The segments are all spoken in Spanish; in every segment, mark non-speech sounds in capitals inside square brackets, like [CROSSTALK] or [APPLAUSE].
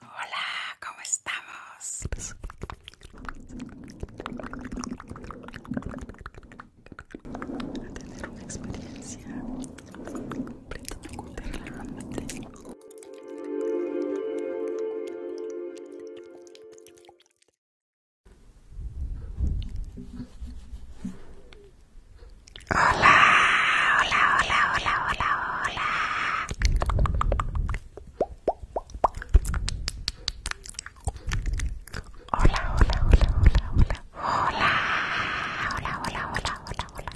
Hola, ¿cómo estamos? A tener una experiencia completamente relajante. Hola, hola, hola, hola, hola, hola. Hola, hola, hola, hola, hola. Hola, hola, hola, hola, hola, hola.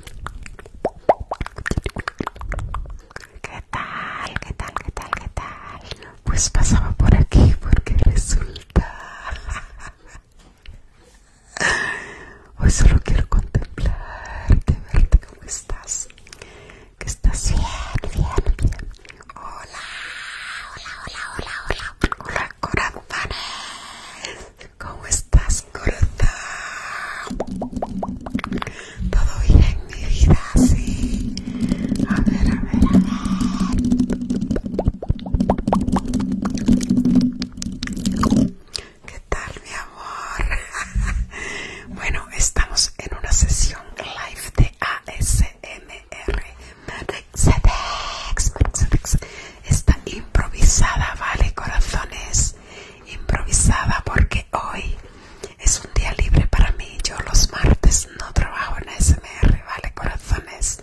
¿Qué tal? ¿Qué tal? ¿Qué tal? ¿Qué tal? Pues pasaba por aquí porque resulta Hoy solo quiero contemplarte, verte cómo estás. Que estás bien, bien, bien. Hola, hola, hola, hola, hola. Hola, corazones. ¿Cómo estás, corazón? Todo bien, mi vida, sí. A ver, a ver, a ver. ¿Qué tal, mi amor? [LAUGHS] bueno, estamos en una sesión live de ASMR. Está improvisada, ¿vale, corazones? Improvisada porque hoy es un día libre para mí. Yo los martes no trabajo en ASMR, ¿vale, corazones?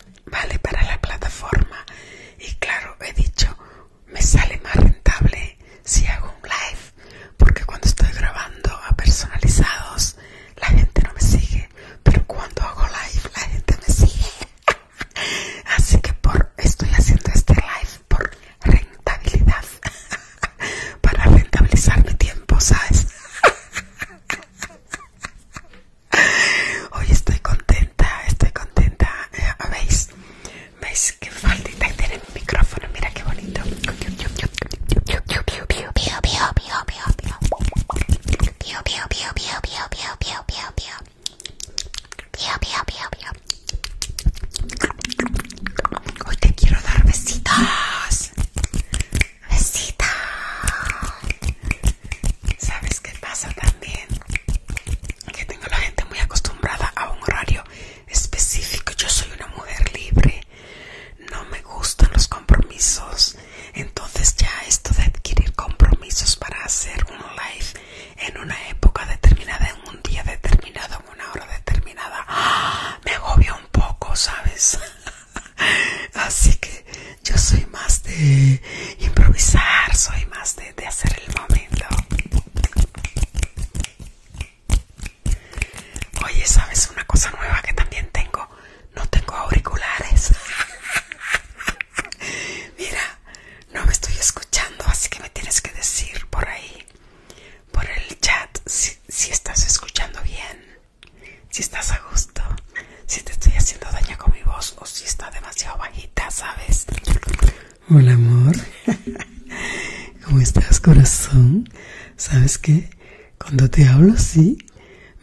vale para la plataforma y claro he dicho me sale más rentable si hago un live porque cuando estoy grabando a personalizados la gente no me sigue pero cuando hago live la gente me sigue [LAUGHS] así que por estoy haciendo este live por rentabilidad [LAUGHS] para rentabilizar mi tiempo sabes [LAUGHS] Hoy estoy contenta, estoy contenta. Eh, ah, ¿Veis? ¿Veis qué faldita tiene mi micrófono? Mira qué bonito. Hoy te quiero dar besitos. Besitos. ¿Sabes qué pasa también? Que tengo la gente muy acostumbrada a un horario específico. Yo soy una mujer libre. No me gustan los compromisos. Entonces ya esto de adquirir compromisos para hacer un live en una época determinada, en un día determinado, en una hora determinada, ¡ah! me agobia un poco, ¿sabes? [LAUGHS] Así que yo soy más de improvisar, soy más de de, hacer el momento. Oye, ¿sabes una cosa nueva que también tengo? No tengo auriculares. [LAUGHS] Mira, no me estoy escuchando, así que me tienes que decir por ahí, por el chat, si, si estás escuchando bien, si estás a gusto, si te estoy haciendo daño con mi voz o si está demasiado bajito. ¿sabes? Hola, amor. ¿Cómo estás, corazón? ¿Sabes que Cuando te hablo así,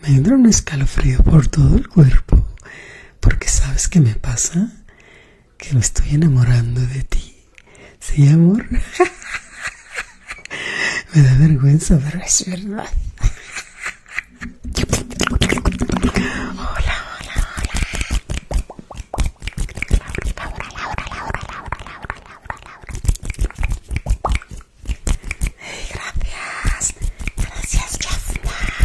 me entra un escalofrío por todo el cuerpo. Porque ¿sabes que me pasa? Que me estoy enamorando de ti. ¿Sí, amor? [LAUGHS] me da vergüenza, pero es verdad. Hola, hola, hola. Laura, Laura, Laura, Laura, Laura, Laura, Laura. Hey, gracias. Gracias, Jafna. Gracias.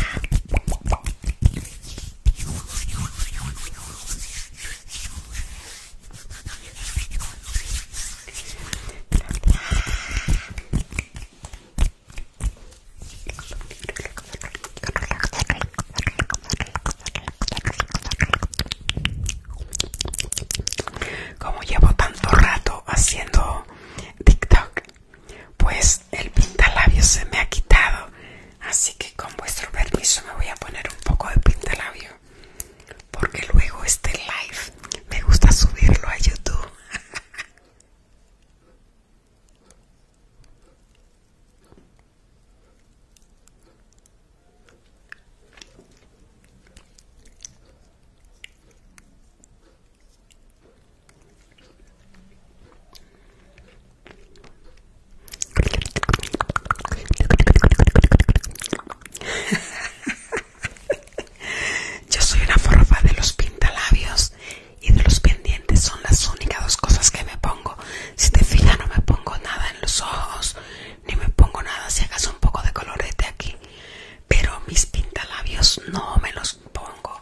Como llevo tanto rato haciendo TikTok, pues el pintalabio se me ha quitado. Así que con vuestro permiso me voy a poner un poco de pintalabio. Porque luego este live me gusta subirlo a YouTube. [LAUGHS] [LAUGHS] Yo soy una forfa de los pintalabios y de los pendientes son las únicas dos cosas que me pongo. Si te fijas no me pongo nada en los ojos, ni me pongo nada, si hagas un poco de colorete aquí. Pero mis pintalabios no me los pongo.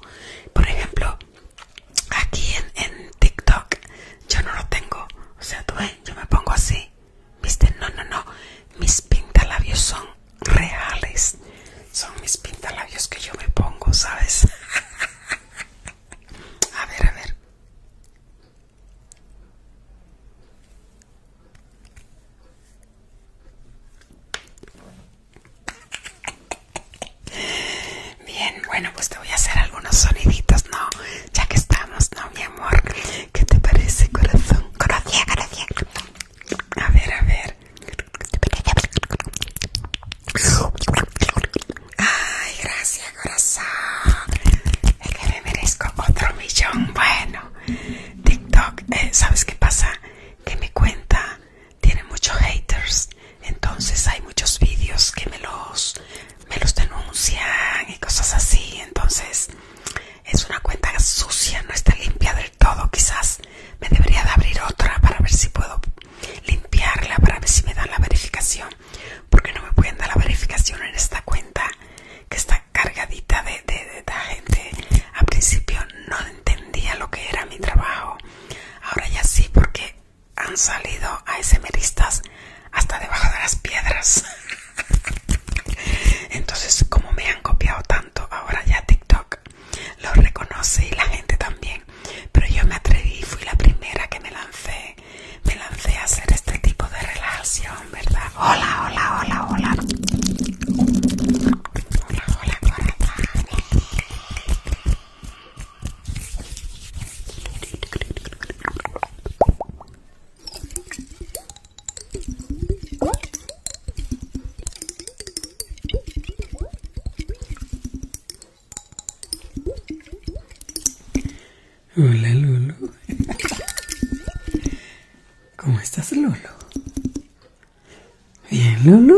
Por ejemplo, aquí en, TikTok yo no lo tengo. O sea, tú ves, yo me pongo así. ¿Viste? No, no, no. Mis pintalabios son reales. Son mis pintalabios que yo me pongo, ¿sabes? [LAUGHS] A ver, a ver. Bien, bueno, pues te voy a hacer algunos soniditos, ¿no? Ya que estamos, ¿no, mi amor? ¿Qué te parece, corazón? Corazón. corazón. A ver, a ver. Ay, gracias corazón. Es que me merezco otro millón. Bueno, TikTok, eh, ¿sabes qué pasa? Que mi cuenta tiene muchos haters. Entonces hay muchos vídeos que me los, me los denuncian y cosas así. Entonces es una cuenta sucia, no está limpia del todo. Quizás me debería de abrir otra para ver si puedo limpiarla para ver si me dan la verificación porque no me pueden dar la verificación en esta cuenta que está cargadita de, gente al principio no entendía lo que era mi trabajo ahora ya sí porque han salido a esmeristas hasta debajo de las piedras [LAUGHS] entonces como me han copiado tanto ahora ya TikTok lo reconoce y la gente también. Pero yo me atreví, fui la primera que me lancé, me lancé a hacer este tipo de relación ¿verdad? Hola, hola, hola, hola. Hola, hola, Hola Lulu. ¿Cómo estás Lulu? Bien Lulu.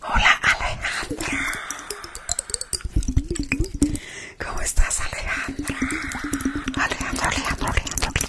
Hola Alejandra. ¿Cómo estás Alejandra? Alejandra, Alejandra, Alejandra.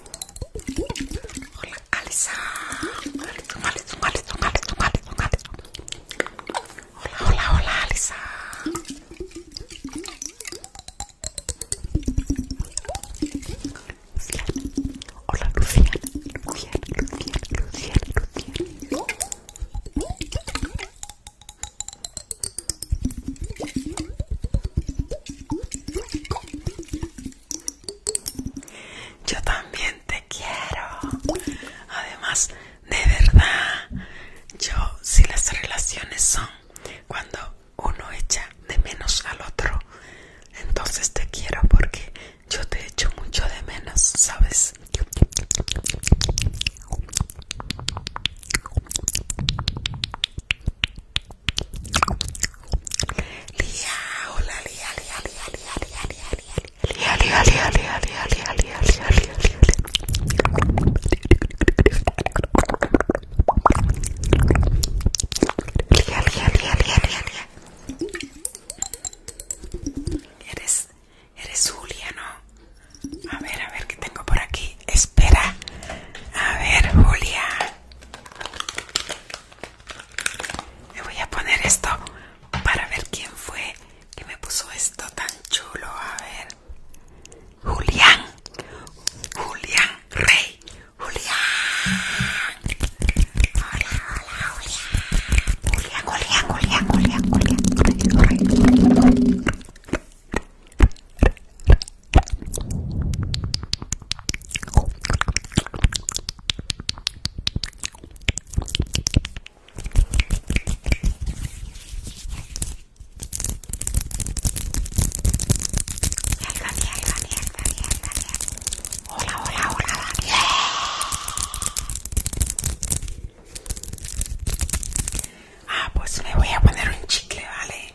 Hola, Alisa Hola, hola, hola, Hola, Hola, Luciana. Hola, Hola, yo también te quiero. Además, de verdad, yo si las relaciones son cuando uno echa de menos al otro, entonces te quiero porque yo te echo mucho de menos, ¿sabes? Lía, hola Lía, Lía, Lía, Lía, Lía, Lía, Lía, Lía, Eres, eres Julia, ¿no? A ver, a ver, ¿qué tengo por aquí? Espera. A ver, Julia. Me voy a poner esto para ver quién fue que me puso esto tan chulo. A ver. Julián. Julián Rey. Julián. Hola, hola, Julián. Julián, Julián, Julián, Julián, Julián. Julián. Daniel, Daniel, Daniel, Daniel. Hola, hola, hola, Ah, pues me voy a poner un chicle, ¿vale?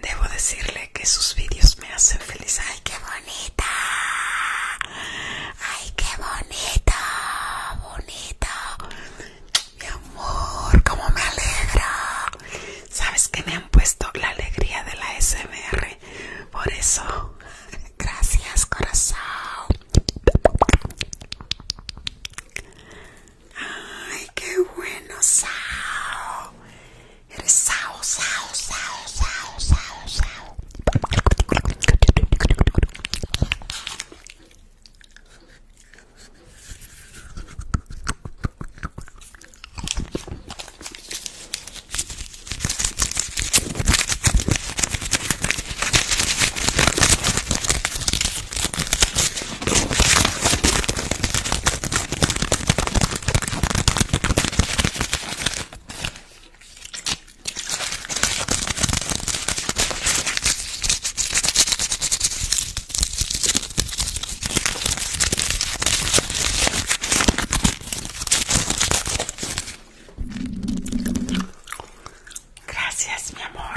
Debo decirle que sus vídeos me hacen feliz. ¡Ay, qué bonita! ¡Ay, qué bonita! ¡Bonita! Mi amor, cómo me alegra. Sabes que me han puesto la alegría de la SMR. Por eso, [LAUGHS] gracias corazón. Ay, qué bueno, Sao. Eres Sao, Sao, Sao, Sao, Gracias, mi amor.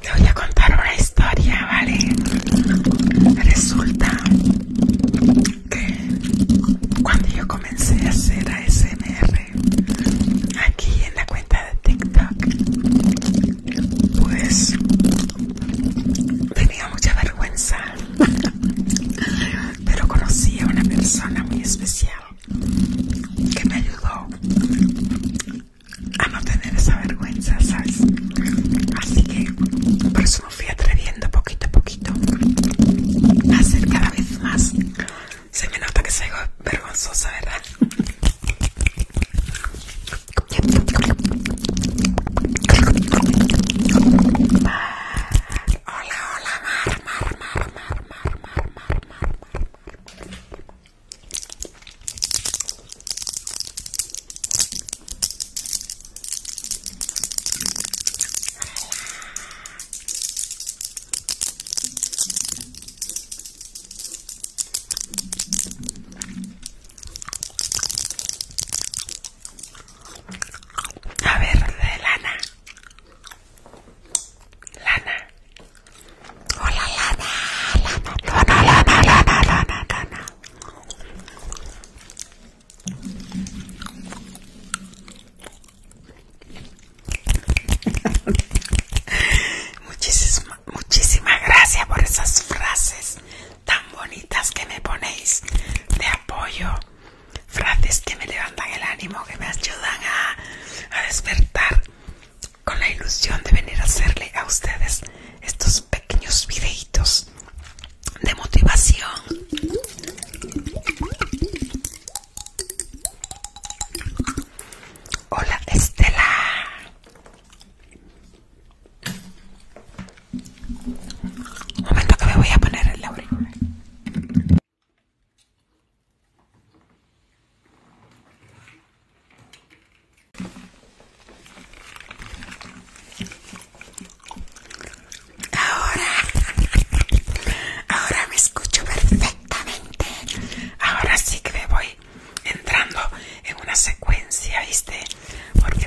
Te voy a contar una historia, ¿vale? Resulta que cuando yo comencé a hacer ASMR aquí en la cuenta de TikTok, pues tenía mucha vergüenza, [LAUGHS] pero conocí a una persona muy especial que me ayudó a no tener esa vergüenza, ¿sabes? Así que por eso me fui atreviendo poquito a poquito a hacer cada vez más. Se me nota que soy vergonzosa, ¿verdad? Hola, hola, mar, mar, mar, mar, mar, mar, mar, mar, mar, a ver, de lana. Lana. Hola, lana, Muchísimas gracias por esas frases tan bonitas que me ponéis de apoyo. Frases que me levantan el ánimo, que me ayudan a despertar con la ilusión de venir a hacerle a ustedes estos pequeños videitos de motivación hola Estela un momento que me voy a poner el auricular Ahora, ahora me escucho perfectamente. Ahora sí que me voy entrando en una secuencia, ¿viste? Porque...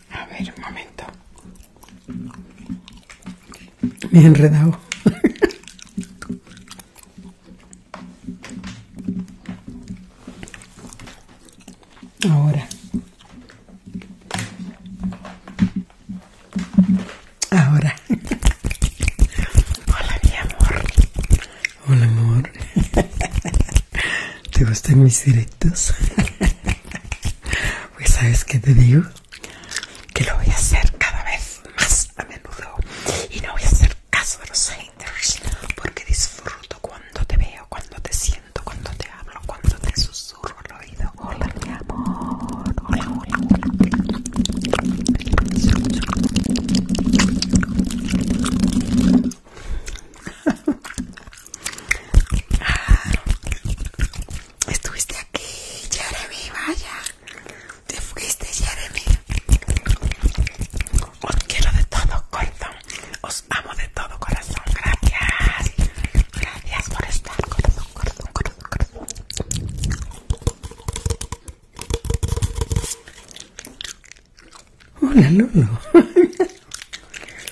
A ver, un momento. Me he enredado. Ahora. Ahora. Hola, mi amor. Hola, amor. ¿Te gustan mis derechos. [LAUGHS] pues sabes que te digo que lo voy a hacer cada vez más a menudo y no voy a hacer caso de los haters porque disfruto cuando te veo cuando te siento cuando te hablo cuando te susurro al oído hola mi amor hola hola amor [LAUGHS] Ah, estuviste aquí, Jeremy, vaya. Te fuiste, Jeremy. Os quiero de todo, corazón. Os amo de todo, corazón. Gracias. Gracias por estar, corazón, corazón, corazón, corazón. Hola, no. [LAUGHS]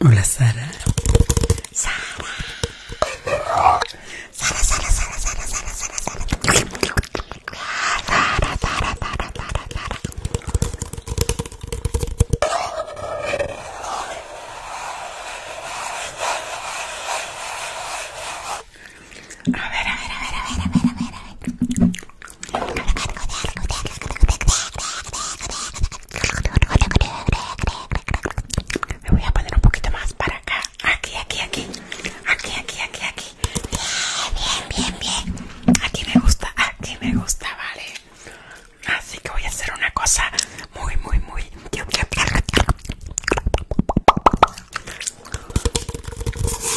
Hola Sara. Sara. Sara, Sara, Sara, Sara, Sara, Sara, a ver, a ver, a ver, a ver, a ver, a ver. Me voy a poner un poquito más para acá. Aquí, aquí, aquí. Aquí, aquí, aquí, aquí. Bien, bien, bien, Aquí me gusta, aquí me gusta, vale. Así que voy a hacer una cosa muy, muy, muy.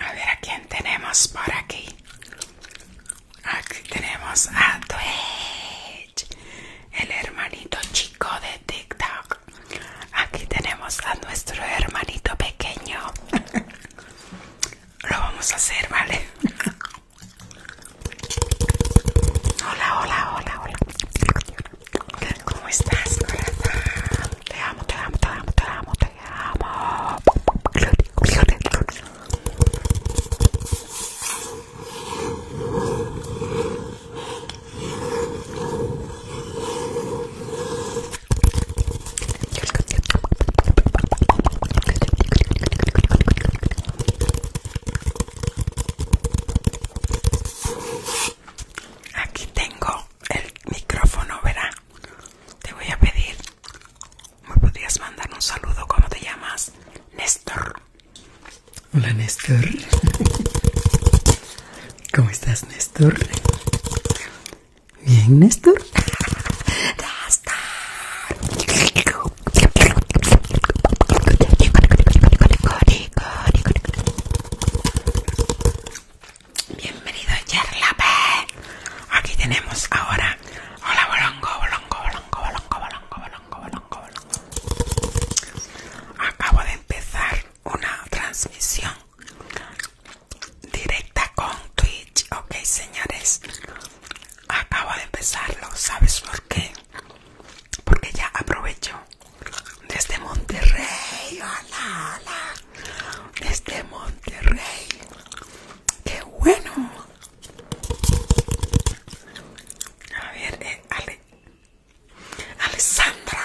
A ver a quién tenemos por aquí. Aquí tenemos a Twitch el hermanito chico de TikTok. Aquí tenemos a nuestro hermanito pequeño. Lo vamos a hacer, ¿vale? Hola, hola, hola, hola. ¿Cómo estás, Te amo, te amo, te amo, te amo, te amo. Aquí tengo el micrófono, verá. Te voy a pedir, me podrías mandar un saludo. ¿Cómo te llamas? Néstor. Hola Néstor. ¿Cómo estás Néstor? Bien Néstor. Bienvenido Yerlape. Aquí tenemos ahora. Hola bolongo, bolongo, bolongo, bolongo, bolongo, bolongo, bolongo, bolongo. Acabo de empezar una transmisión directa con Twitch, ok señores. Acabo de empezarlo, ¿sabes por qué? Porque ya aprovecho desde este Monterrey, hola, hola, desde este Monterrey, qué bueno. A ver, eh, Ale, Alessandra,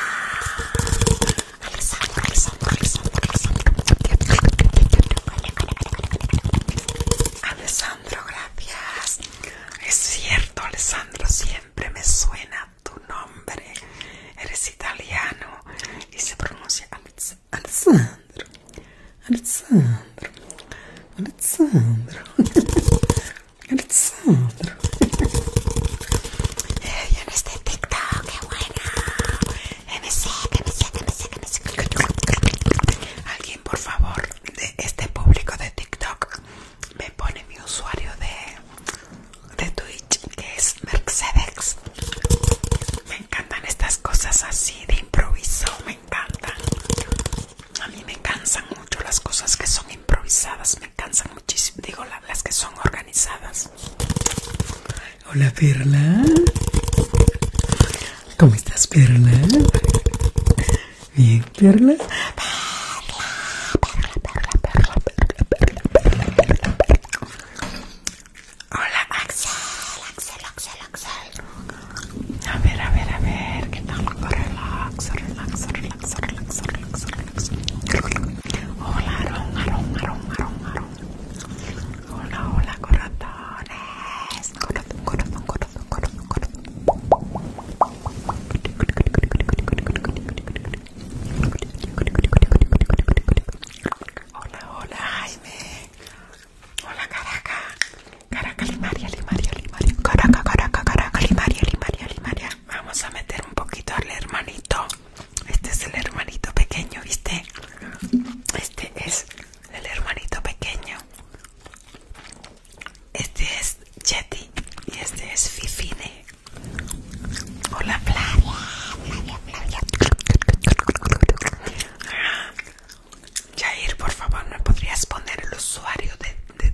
Alessandro, gracias. Es cierto, Alessandro, siempre me suena tu nombre. Eres italiano y se pronuncia Alessandro. Alessandro, Alessandro. Alguien, por favor, de este público de TikTok, me pone mi usuario de, de Twitch, que es Mercedes. Me encantan estas cosas así de improviso, me encantan a mí me cansan mucho las cosas que son improvisadas, me cansan muchísimo, digo las que son organizadas. Hola Perla, ¿cómo estás Perla? Bien Perla. Perla, Perla, Perla, Perla, Hola Axel, Axel, Axel, Axel. A ver, a ver, a ver, ¿qué tal? Relax, relax, relax relax, relax, relax, Hola, Aron, Aron, Hola, hola, corazones. Hola, hola, Jaime. Hola, Caraca. Caraca, Limaria, Limaria, Caraca, Caraca, Caraca, María, Vamos a meter un poquito al hermanito. Este es el hermanito pequeño, ¿viste? Este es el hermanito pequeño. Este es Jetty y este es Fifine. Hola, Flavia. Jair, por favor, ¿me podrías poner el usuario de, de,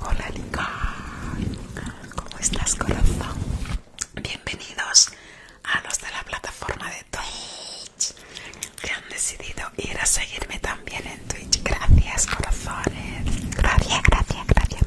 Hola ¿cómo estás corazón? Bienvenidos a los de la plataforma de Twitch que han decidido ir a seguirme también en Twitch. Gracias corazones. Gracias, gracias, gracias.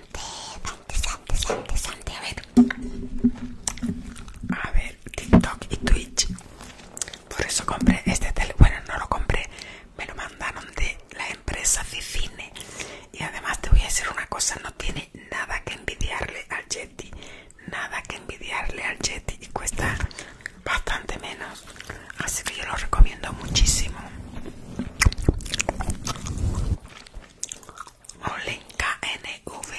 Sante, Sante, Sante, Sante, a ver. A ver, TikTok y Twitch. Por eso compré este teléfono. Bueno, no lo compré, me lo mandaron de la empresa Cicine. Y además te voy a decir una cosa, no tiene nada que envidiarle al Yeti. Nada que envidiarle al Yeti y cuesta bastante menos. Así que yo lo recomiendo muchísimo. Olenka NV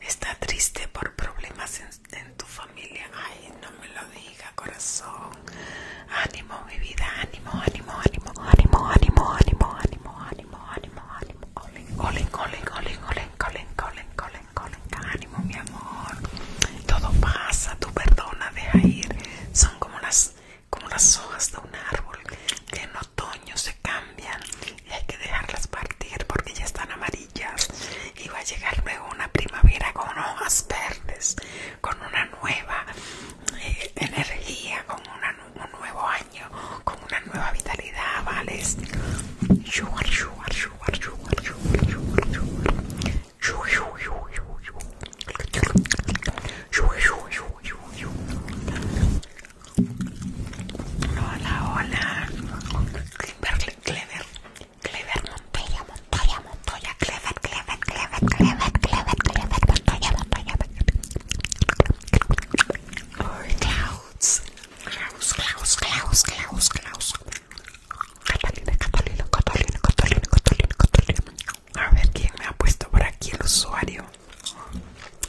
está triste por problemas en, tu familia. Ay, no me lo diga, corazón. Ánimo, mi vida, ánimo, ánimo, ánimo, ánimo, ánimo, ánimo, ánimo, ánimo, ánimo, ánimo. olen, olen, olen, olen, Olenka, olen, olen, ánimo, mi amor. Todo pasa, tú perdona, deja ir. Son como las como las hojas de un árbol que en otoño se cambian y hay que dejarlas partir porque ya están amarillas y va a llegar luego una primavera con hojas verdes, con una nueva eh, energía, con un nuevo año, con una nueva vitalidad, ¿vale? Hola, hola. Clever, Clever, Clever, Montoya, Montoya, Montoya, Clever, Clever, Clever, Clever, Clever, Clever, Montoya, Montoya. Klaus, Klaus, Klaus, Klaus, Klaus, Klaus. Catalina, Catalina, Catalina, Catalina, Catalina, Catalina. A ver quién me ha puesto por aquí el usuario.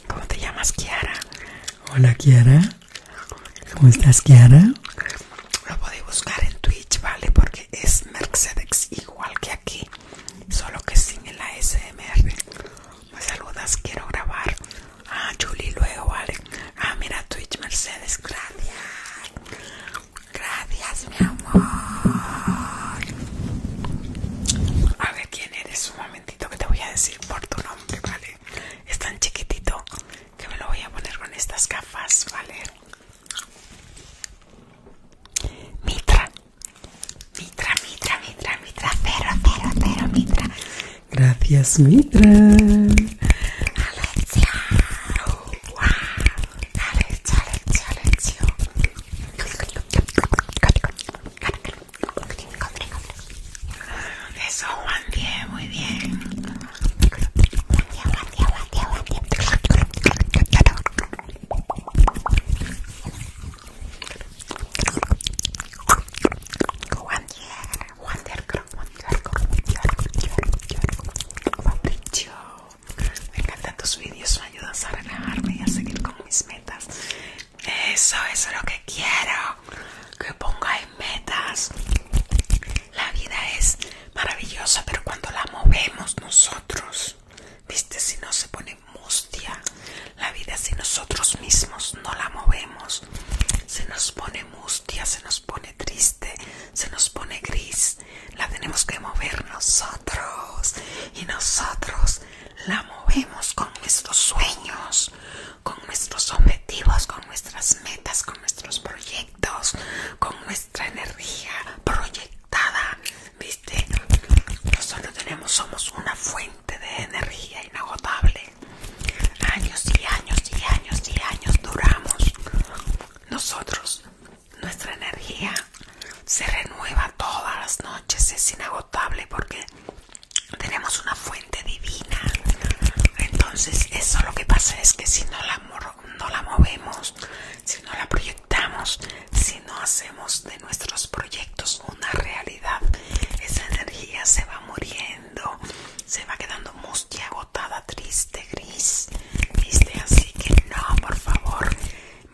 ¿Cómo te llamas, Kiara? Hola, Kiara. ¿Cómo estás, Kiara? Lo podéis buscar en Twitch, ¿vale? Porque es Mercedes igual que aquí, solo que sin el ASMR. Me pues saludas, quiero grabar. Ah, Julie, luego, ¿vale? Ah, mira, Twitch, Mercedes, gracias. Gracias, mi amor. A ver quién eres, un momento que te voy a decir por tu nombre, ¿vale? Es tan chiquitito que me lo voy a poner con estas gafas, ¿vale? Mitra, Mitra, Mitra, Mitra, Mitra, cero, cero, cero, Mitra. Gracias, Mitra. Alexia, wow. Alexia, Alexia, Alexia. Eso, Juan Diego, muy bien. Juan Juan Juan Juan Me encantan tus vídeos, me ayudas a relajarme y a seguir con mis metas. Eso, eso es lo que quiero. Que ponga en metas. La vida es maravillosa, pero cuando la movemos nosotros, viste, si no se pone mustia. La vida si nosotros mismos no la movemos, se nos pone mustia, se nos pone triste, se nos pone gris. La tenemos que mover nosotros. Y nosotros la movemos con nuestros sueños, con nuestros objetivos, con nuestras metas, con nuestros proyectos, con nuestra energía proyectada. ¿Viste? Nosotros tenemos, somos una fuente de energía inagotable. Años y años y años y años duramos. Nosotros, nuestra energía se renueva todas las noches, es inagotable porque tenemos una fuente divina entonces eso lo que pasa es que si no la, no la movemos si no la proyectamos si no hacemos de nuestros proyectos una realidad esa energía se va muriendo se va quedando mustia agotada triste gris ¿viste? así que no por favor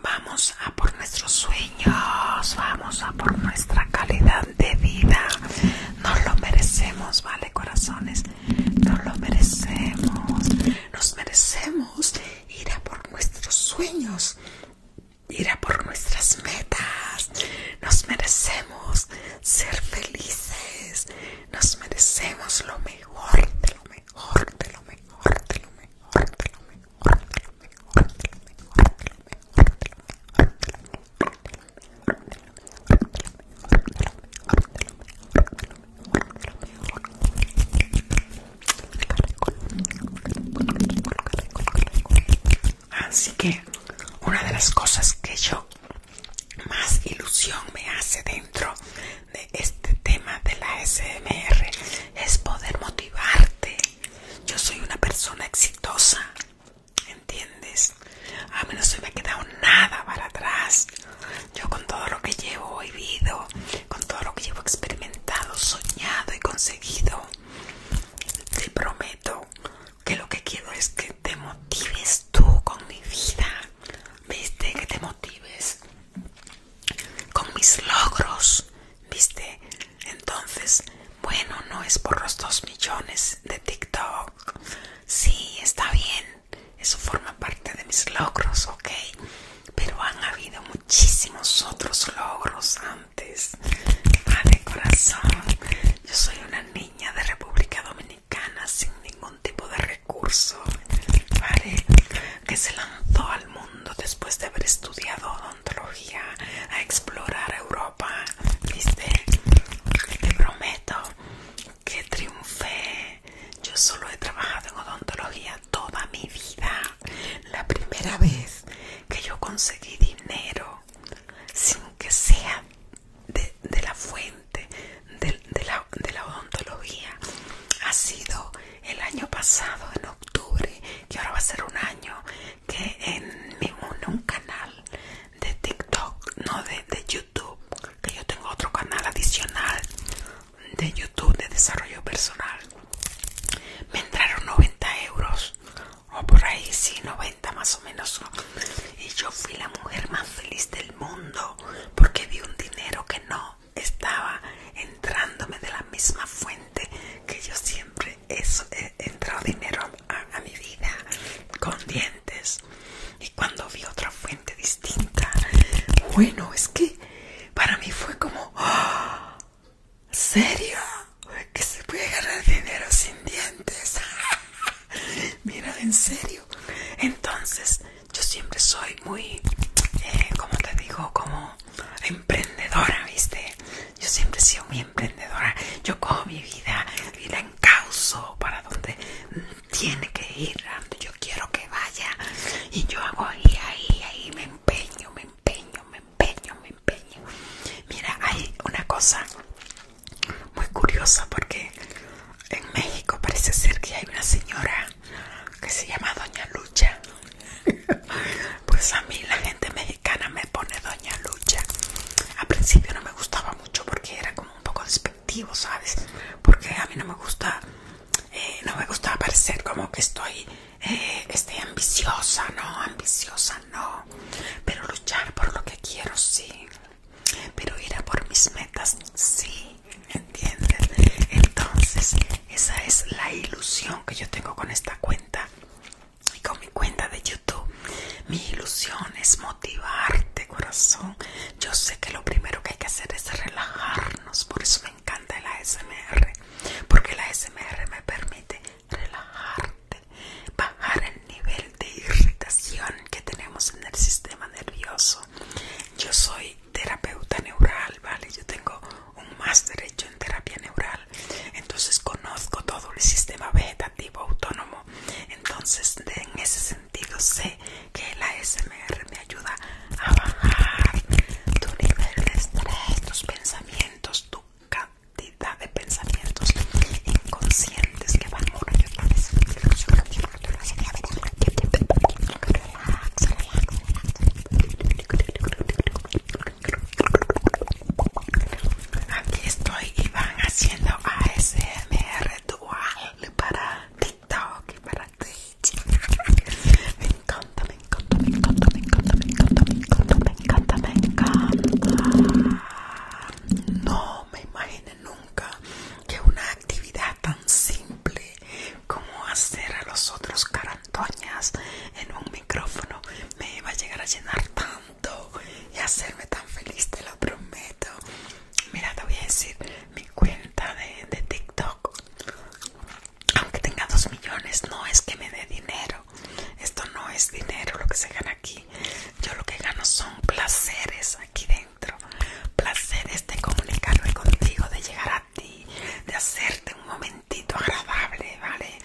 vamos a por nuestros sueños niños, vamos a por nuestra calidad de vida. Nos lo merecemos, ¿vale, corazones? Nos lo merecemos. Nos merecemos ir a por nuestros sueños, ir a por nuestras metas. Nos merecemos ser felices. Nos merecemos lo mejor, de lo mejor, de lo mejor, de lo mejor, de lo mejor. Así que una de las cosas que yo más ilusión me hace dentro de este tema de la SMR es poder motivarte yo soy una persona exitosa, ¿entiendes? A mí no me ha quedado nada para atrás. Yo con todo lo que llevo vivido, con todo lo que llevo experimentado, soñado y conseguido, te prometo que lo que quiero es que te motives tú con mi vida. ¿Viste? Que te motives con mis logros. ¿Viste? Entonces, bueno, no es por los dos millones de TikTok. Sí, está bien. Eso forma parte de mis logros, ¿ok? Pero han habido muchísimos otros logros antes. Vale, ah, corazón. Yo soy una niña de República Dominicana sin ningún tipo de recurso, ¿vale? Que se lanzó al mundo después de haber estudiado Odontología a explorar Europa, ¿viste? Te prometo que triunfé. Yo solo he trabajado en odontología toda mi vida. La primera vez que yo conseguí dinero sin que sea de, la fuente la, de la odontología ha sido el año pasado, en octubre, que ahora va a ser un año que en un canal de TikTok, no de, de YouTube, que yo tengo otro canal adicional de YouTube de desarrollo personal, me entraron 90 euros o por ahí, sí, 90 más o menos. Y yo fui la mujer más feliz del mundo porque vi un dinero que no estaba entrándome de la misma fuente que yo siempre eso, he eh, entrado dinero a, mi vida con dientes y cuando vi otra fuente distinta bueno es que para mí fue como ¡Ah! serio que se puede agarrar dinero sin dientes [LAUGHS] mira en serio entonces yo siempre soy muy eh, como te digo como emprendedora viste yo siempre he sido muy emprendedora. Yo cojo mi vida y la encauso para donde tiene que ir, donde yo quiero que vaya. Y yo hago ahí, ahí, ahí, me empeño, me empeño, me empeño, me empeño. Mira, hay una cosa muy curiosa porque en México parece ser que hay una señora que se llama Doña Lucha [LAUGHS] Pues a mí la gente mexicana me pone Doña Lucha. Al principio no me gustaba mucho porque era como un poco despectivo, ¿sabes? Porque a mí no me gusta, eh, no me gusta parecer como que estoy eh, estoy ambiciosa, no, ambiciosa, no. Pero luchar por lo que quiero, sí. Pero ir a por mis metas, sí. ¿Entiendes? Entonces, esa es la ilusión que yo tengo con esta cuenta y con mi cuenta de YouTube. Mi ilusión es motivarte, corazón. Yo sé que lo primero que hay que hacer es relajarnos, por eso me encanta la SMR, porque la SMR me permite relajarte, bajar el nivel de irritación que tenemos en el sistema nervioso. Yo soy terapeuta neural, ¿vale? Yo tengo un máster hecho en terapia neural entonces conozco todo el sistema vegetativo autónomo. Entonces en ese sentido sé que la SMR me ayuda a bajar tu nivel de estrés, tus pensamientos, tu cantidad de pensamientos inconscientes que van una Aquí estoy y van haciendo ASMR dual para TikTok y para Twitch. Me encanta, me encanta, me encanta, me encanta, me encanta, me encanta, me encanta, me encanta. No me imaginé nunca que una actividad tan simple como hacer a los otros carantoñas en un micrófono me iba a llegar a llenar tanto y hacerme tan feliz, te lo prometo. Mira, te voy a decir mi cuenta de, de TikTok. Aunque tenga dos millones, no es que me dé dinero. Esto no es dinero lo que se gana aquí. Yo lo que gano son placeres aquí dentro. Placeres de comunicarme contigo, de llegar a ti, de hacerte un momento agradable, ¿vale?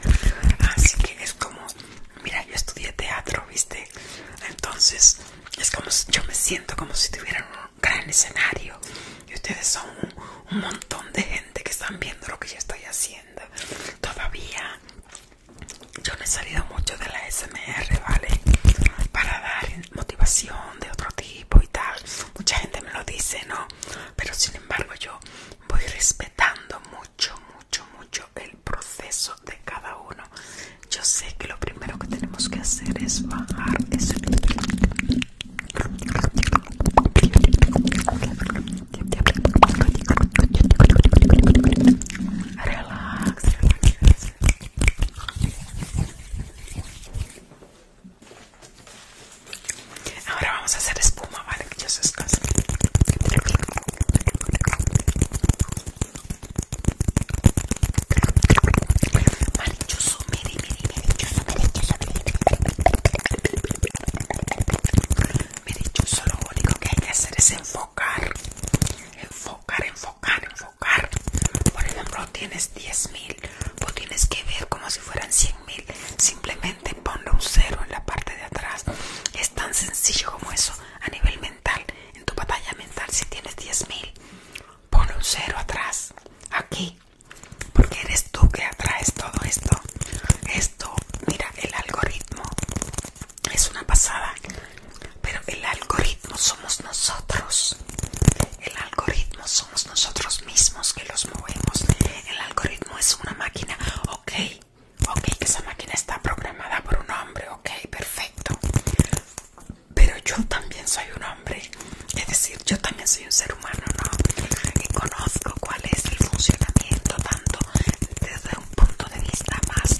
Así que es como, mira, yo estudié teatro, ¿viste? Entonces, es como, yo me siento como si tuviera un gran escenario y ustedes son un, montón de gente que están viendo lo que yo estoy haciendo. Todavía yo no he salido mucho de la SMR, ¿vale? Para dar motivación de otro tipo y tal. Mucha gente me lo dice, ¿no? Pero sin embargo yo voy respetando mucho mucho, mucho, mucho el proceso de cada uno. Yo sé que lo primero que tenemos que hacer es bajar ese... Ahora vamos a hacer espuma, ¿vale? Que ya se miri, mire, mire, Lo único que hay que hacer es enfocar, enfocar, enfocar, enfocar. Por ejemplo, tienes 10.000, O tienes que ver como si fueran 100.000 simplemente ponle un cero en la parte de atrás es tan sencillo como eso a nivel mental en tu batalla mental si tienes 10000 mil ponle un cero atrás aquí porque eres tú que atraes todo esto esto mira el algoritmo es una pasada pero el algoritmo somos nosotros el algoritmo somos nosotros mismos que los movemos el algoritmo es una máquina ok ok, esa máquina está programada por un hombre, ok, perfecto. Pero yo también soy un hombre, es decir, yo también soy un ser humano, ¿no? Y conozco cuál es el funcionamiento tanto desde un punto de vista más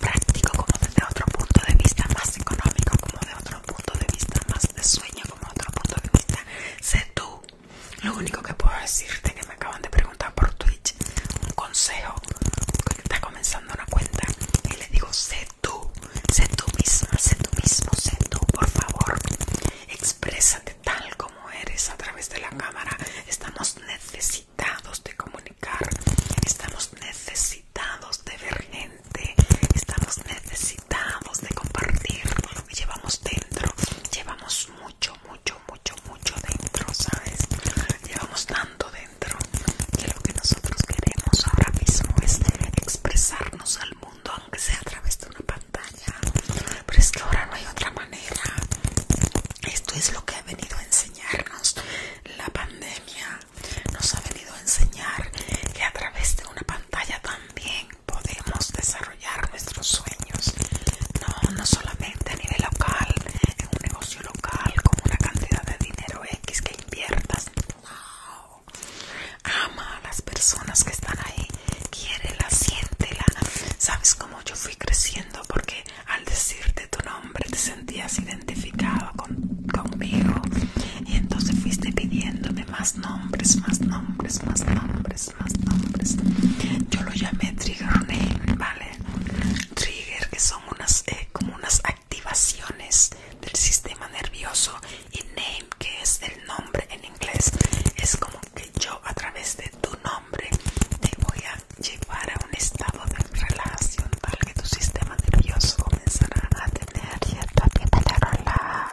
práctico como desde otro punto de vista más económico, como desde otro punto de vista más de sueño, como otro punto de vista. Sé tú, lo único que puedo decirte que me acaban de preguntar por Twitch un consejo Porque está comenzando una cuenta y le digo sé tú, sé tú misma, sé tú mismo, sé tú, por favor, exprésate tal como eres a través de la cámara. Estamos necesitados de comunicar, estamos necesitados de ver gente, estamos necesitados de compartir lo que llevamos dentro, llevamos mucho mucho, mucho, mucho, dentro, ¿sabes? Llevamos tanto dentro que lo que nosotros queremos ahora mismo es expresarnos al mundo, aunque sea a través de una pantalla. Pero es que ahora no hay otra manera. Esto es lo que ha venido a enseñarnos la pandemia. Nos ha venido a enseñar que a través de una pantalla también podemos desarrollar nuestros sueños, no, no solamente a nivel local, en un negocio local con una cantidad de dinero X que inviertas. ama a las personas que están ahí, quiérela, siéntela. Sabes cómo yo fui creciendo porque al decirte tu nombre te sentías identificado con, conmigo y entonces fuiste pidiéndome más nombres, más nombres, más nombres más Yo lo llamé trigger name, ¿vale? Trigger, que son unas como unas activaciones del sistema nervioso y name, que es el nombre en inglés. Es como que yo a través de tu nombre te voy a llevar a un estado de relación tal que tu sistema nervioso comenzará a tener cierta relax,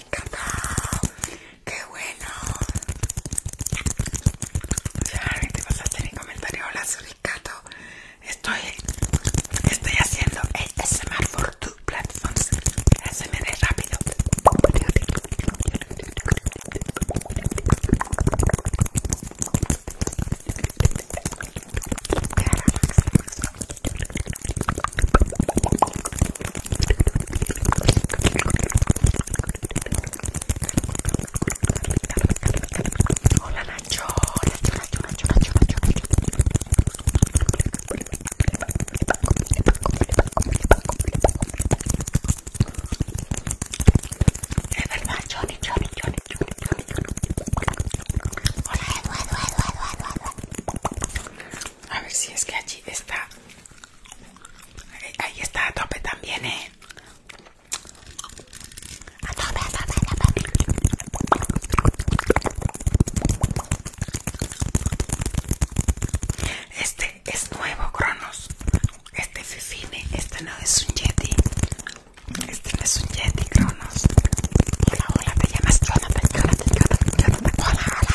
Qué bueno. Ya, te en comentario. Hola, Estoy, estoy haciendo ASMR for two platforms. rápido. Hola Nacho, Nacho, Nacho, Nacho, Nacho, Nacho, Nacho. Es verdad, Johnny, Johnny, Johnny, Johnny, Johnny, Johnny. Hola Eduardo, Eduardo, Eduardo, Eduardo. A ver si es que allí está. Ahí está a tope también, eh. A tope, a tope, a tope. Este es nuevo, Cronos. Este Fifine, este no es un Yeti. Este no es un Yeti, Cronos. Hola, hola, te llamas te llamas Cronos, te Hola, hola,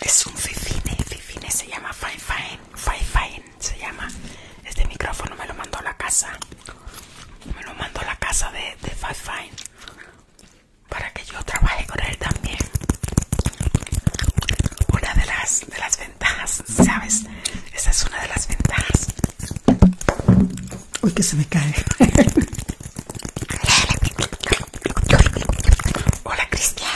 Es un fifine, fifine se llama fine fine, se llama. Este micrófono me lo mandó a la casa, me lo mandó a la casa de, de fine para que yo trabaje con él también. Una de las de las ¿sabes? Esa es una de las ventajas. Uy, que se me cae. Hola, Cristian.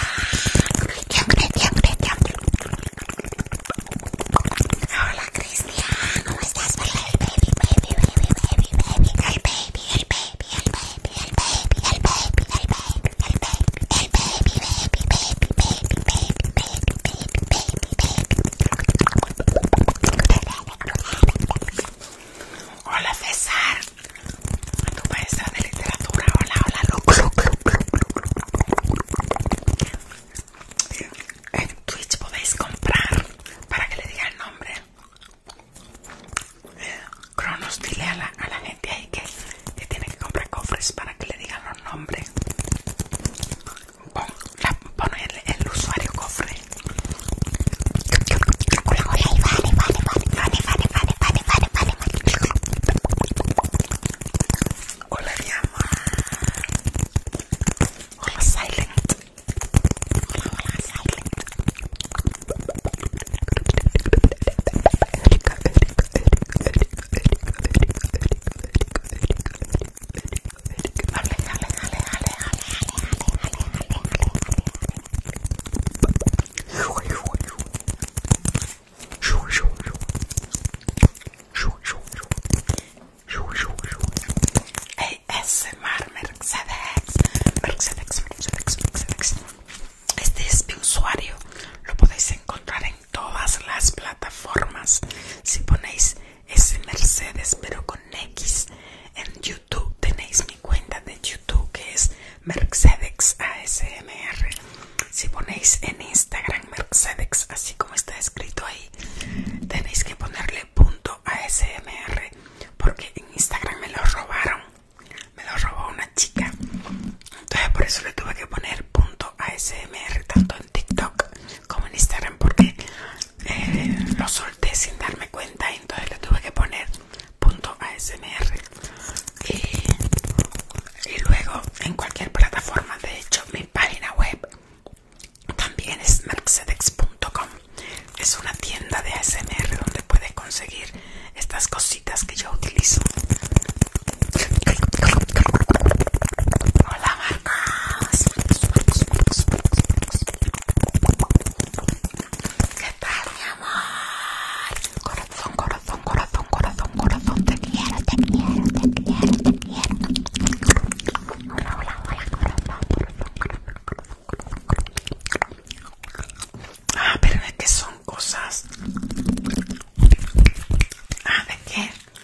Hola, Cristian. ¿Cómo estás? baby, baby, baby, baby, baby, baby, baby, baby, baby, baby, baby. Hola César, tu maestra de literatura. Hola, hola, Luke. En Twitch podéis comprar para que le diga el nombre. Eh, Cronos, dile a la, gente ahí que, que tiene que comprar cofres para que le digan los nombres. Bueno, el, usuario cofre. Hola, mi amor. Hola, Silent. Hola, hola, Silent. Erika, Erika, Erika, Erika, Erika, este es mi usuario, lo podéis encontrar en todas las plataformas. Si ponéis ese Mercedes pero con X en YouTube tenéis mi cuenta de YouTube que es Mercedes ASMR. Si ponéis en Instagram Mercedes así como está escrito ahí tenéis que ponerle punto ASMR porque en Instagram me lo robaron. Me lo robó una chica. Entonces por eso le tuve que poner punto ASMR tanto en TikTok como en Instagram porque eh, lo solté sin darme cuenta y entonces le tuve que poner punto ASMR y, y luego en cualquier plataforma de hecho mi página web también es marxedex.com es una tienda de ASMR donde puedes conseguir estas cositas que yo utilizo Hola Marcos. ¿Qué tal mi amor? Corazón, corazón, corazón, corazón, corazón. Te quiero, te quiero, te quiero, te quiero. Hola, hola, hola, corazón, corazón, corazón, Ah, pero de qué son cosas. Ah, de qué.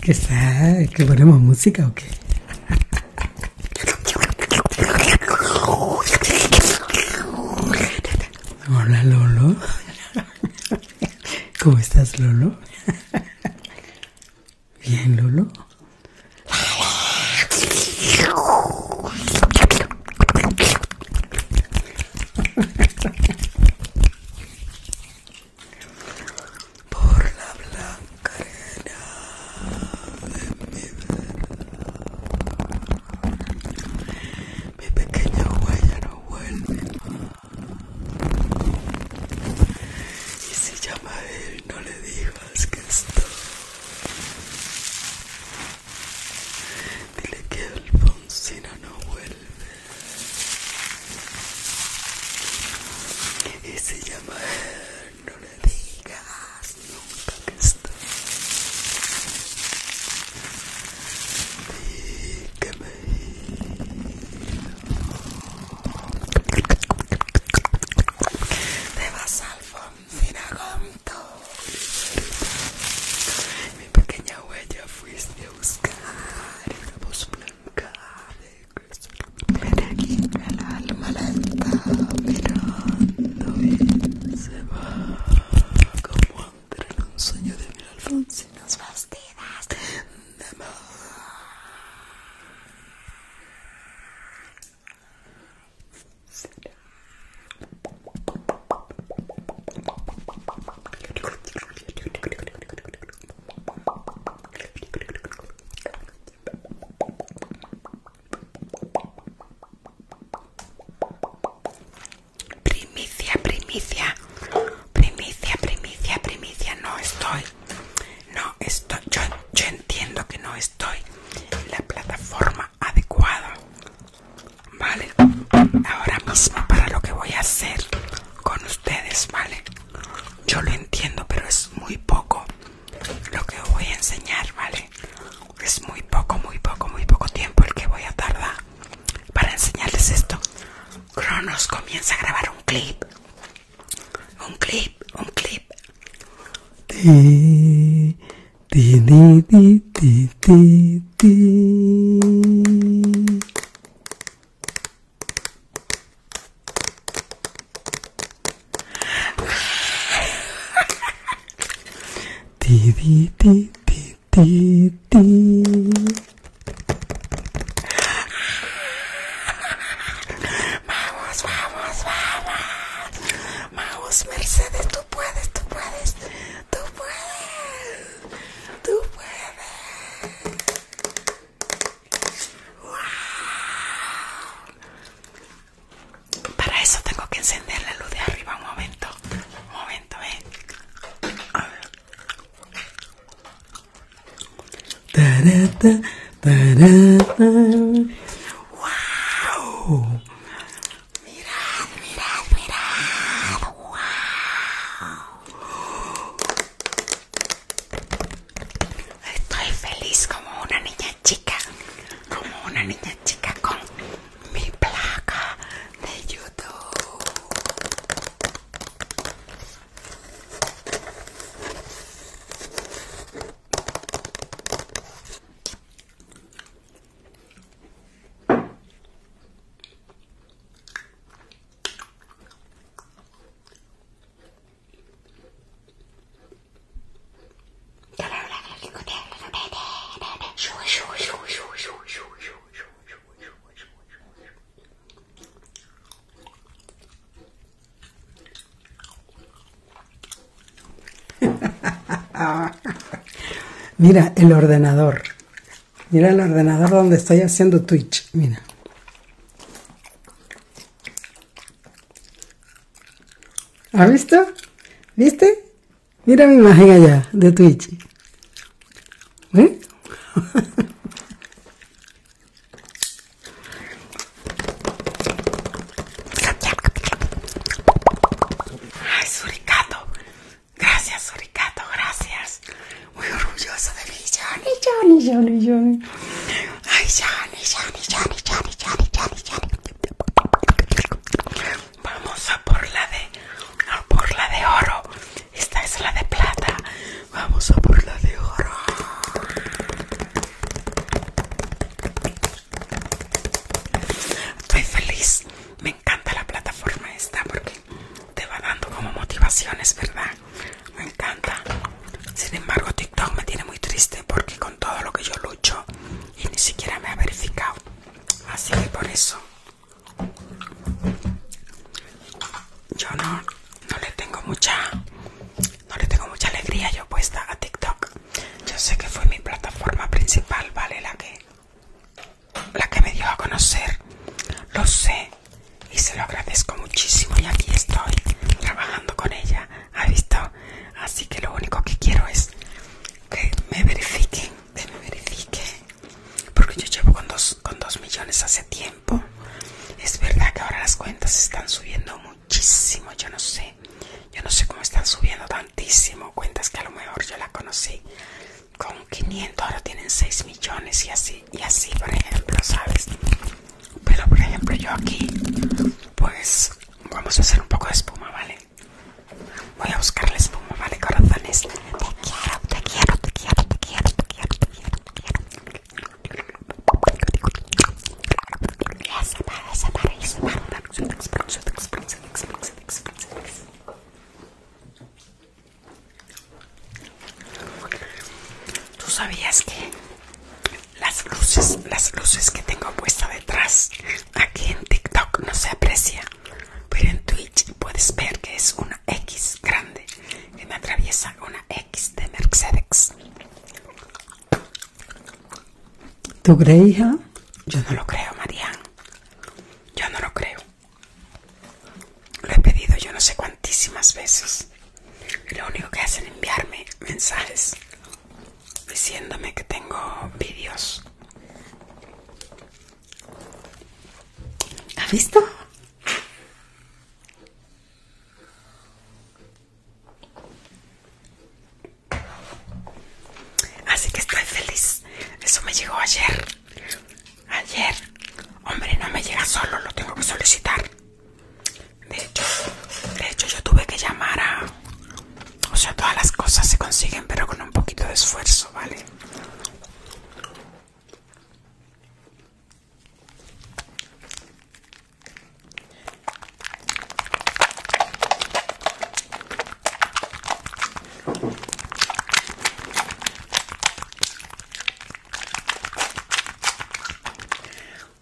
¿Qué está? ¿Que ponemos música o qué? Hola Lolo. ¿Cómo estás Lolo? Bien Lolo por la blanca arena de mi verdad. Mi pequeña huella no vuelve más. Y si llama a él, no le digas que estoy. Dile que Alfonsina no vuelve. Y se llama No le digas nunca que está Dígame. que me Te vas con Gonto Mi pequeña huella fuiste a buscar Una voz blanca Ven aquí, el alma la está mirando se va como entre un sueño de mil alfonsinas bastidas de mar. Primicia, primicia, primicia, primicia, primicia, no estoy, no estoy, yo, entiendo que no estoy en la plataforma adecuada, ¿vale? Ahora mismo para lo que voy a hacer con ustedes, ¿vale? Yo lo entiendo, pero es muy poco lo que voy a enseñar, ¿vale? Es muy poco, muy poco, muy poco tiempo el que voy a tardar para enseñarles esto. Cronos comienza a grabar un clip. Un clip, un clip. Vamos, vamos, vamos. Vamos, Mercedes, tú puedes, tú puedes, tú puedes, tú puedes. Para eso tengo que encender la luz de arriba un momento. Un momento, eh. A ver. Tarata, tarata. Wow. Mirad, mirad, mirad. Wow. Estoy feliz como una niña chica, como una niña chica con mi placa de YouTube. Mira, el ordenador. Mira el ordenador donde estoy haciendo Twitch. Mira. ¿Has visto? ¿Viste? Mira mi imagen allá de Twitch. ¿Ve? ¿Eh? ¡Ay, [LAUGHS] Ay, Suricato. Gracias, Suricato. Gracias muy orgullosa de mí. Johnny, Johnny, Johnny, Johnny. Ay, Johnny, Johnny, Johnny, Johnny, Johnny, Johnny, Johnny. Vamos a por la de, a por la de oro. Esta es la de plata. Vamos a por la de oro. Estoy feliz. Me encanta la plataforma esta porque te va dando como motivaciones, ¿verdad? Me encanta. Sin embargo, TikTok me tiene muy triste porque con todo lo que yo lucho y ni siquiera me ha verificado. Así que por eso yo no, no le tengo mucha no le tengo mucha alegría yo puesta a TikTok. Yo sé que fue mi plataforma principal, vale, la que la que me dio a conocer. Lo sé, y se lo agradezco muchísimo y aquí estoy trabajando con ella, ¿ha visto? Así que lo único que quiero es que me verifiquen, que me verifiquen, porque yo llevo con dos, millones hace tiempo. Es verdad que ahora las cuentas están subiendo muchísimo, yo no sé, yo no sé cómo están subiendo tantísimo cuentas que a lo mejor yo la conocí con 500, ahora tienen 6 millones y así y así por ejemplo sabes pero por ejemplo yo aquí pues vamos a hacer un poco de espuma vale voy a buscar la espuma vale corazones te quiero te quiero te quiero te quiero te quiero te quiero te quiero ya se para se para y se para ¿Tú sabías que las luces, las luces que tengo puestas detrás aquí en TikTok no se aprecia? Pero en Twitch puedes ver que es una X grande que me atraviesa una X de Mercedes. ¿Tú crees, hija? Yo no lo creo, María Yo no lo creo. Lo he pedido yo no sé cuantísimas veces. Lo único que hacen es enviarme mensajes diciéndome que tengo vídeos. ¿Ha visto? Así que estoy feliz. Eso me llegó ayer. Ayer, hombre, no me llega solo, lo tengo que solicitar. De hecho, de hecho yo tuve que llamar a... O sea, todas las cosas se consiguen, pero con un poquito de esfuerzo, ¿vale?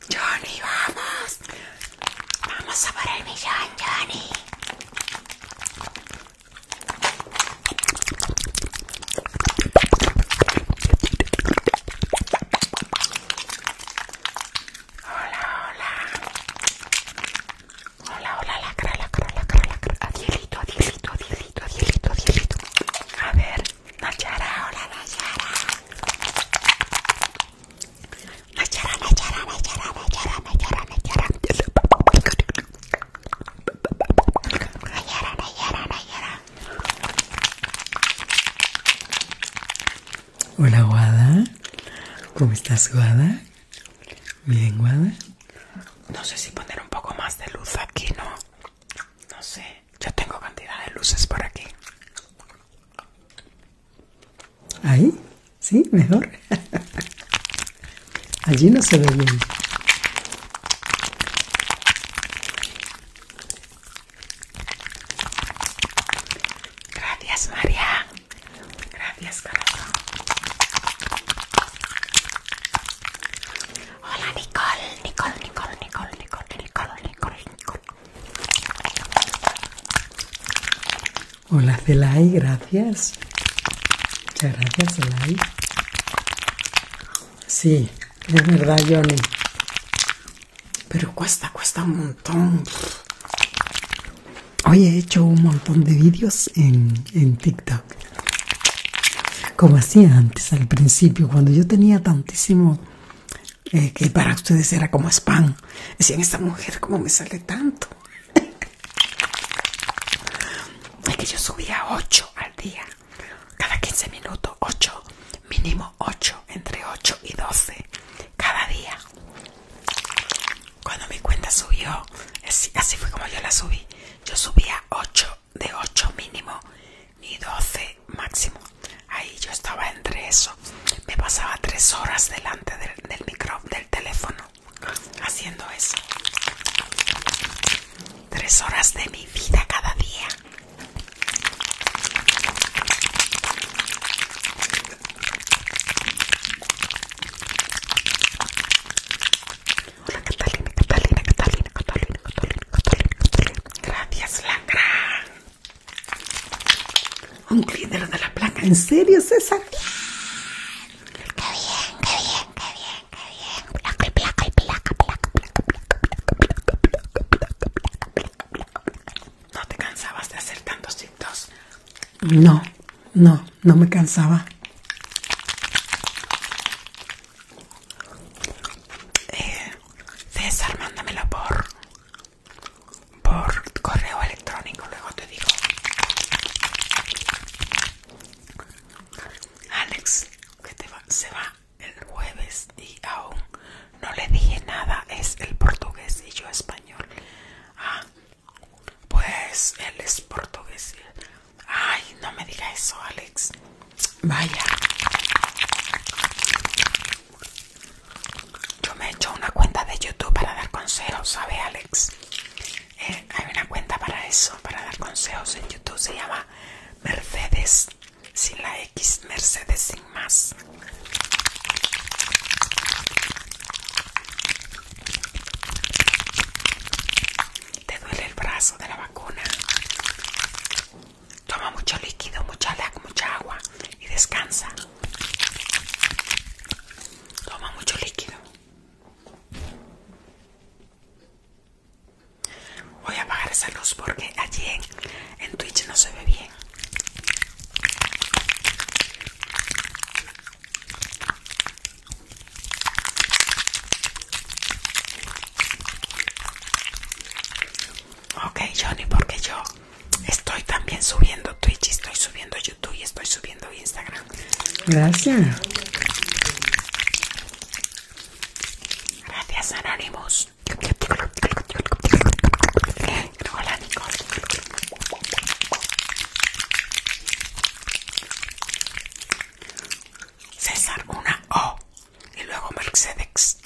Johnny, vamos. Vamos a por el millón, Johnny. Hola, hola. Hola, hola, lacra, lacra, lacra, lacra. Adielito, adielito, adielito, adielito, adielito. A ver. Nachara, hola Nachara. Nachara, Nachara, Nachara, Nachara, Nachara, Nachara. Nachara, Nachara, Hola Guada, ¿cómo estás Guada? Bien Guada. No sé si poner un poco más de luz aquí, ¿no? No sé, yo tengo cantidad de luces por aquí. Ahí, sí, mejor. [LAUGHS] Allí no se ve bien. Gracias, María. Gracias, corazón. Hola Nicole, Nicole, Nicole, Nicole, Nicole, Nicole, Nicole, Nicole. Hola Celay, gracias. Muchas gracias Celay. Sí, es verdad Johnny. Pero cuesta, cuesta un montón. Hoy he hecho un montón de vídeos en, en TikTok como hacía antes al principio, cuando yo tenía tantísimo, eh, que para ustedes era como spam. Decían, esta mujer, como me sale tanto? [LAUGHS] es que yo subía 8 al día, cada 15 minutos, 8, mínimo 8, entre 8 y 12, cada día. Cuando mi cuenta subió, así, así fue como yo la subí. Yo subía 8 de 8 mínimo y 12 máximo. Ahí yo estaba entre eso. Me pasaba 3 horas delante del, del micro, del teléfono haciendo eso. 3 horas de mi vida cada día. Hola Catalina, Catalina, Catalina, Catalina. Gracias, gran Un cliente de la placa. ¿En serio, César? Qué bien, qué bien, qué bien, qué bien. ¿No te cansabas de hacer tantos cintos? No, no, no me cansaba. César, eh, mándamelo por por correo electrónico, luego te digo. Alex, que te se va el jueves y aún no le dije nada, es el portugués y yo español. Ah, pues él es portugués. Ay, no me diga eso, Alex. Vaya. Yo me he hecho una cuenta de YouTube para dar consejos, ¿sabe Alex? Eh, hay una cuenta para eso, para dar consejos en YouTube. Se llama Mercedes sin la X, Mercedes sin más. ¿Te duele el brazo de la vacuna? Toma mucho líquido, mucha lac, mucha agua y descansa. Toma mucho líquido. Voy a apagar esa luz porque allí en, en Twitch no se ve bien. Ok, Johnny, porque yo estoy también subiendo Twitch, estoy subiendo YouTube y estoy subiendo Instagram. Gracias. Gracias, Anonymous. Hola, César, una O y luego Mercedes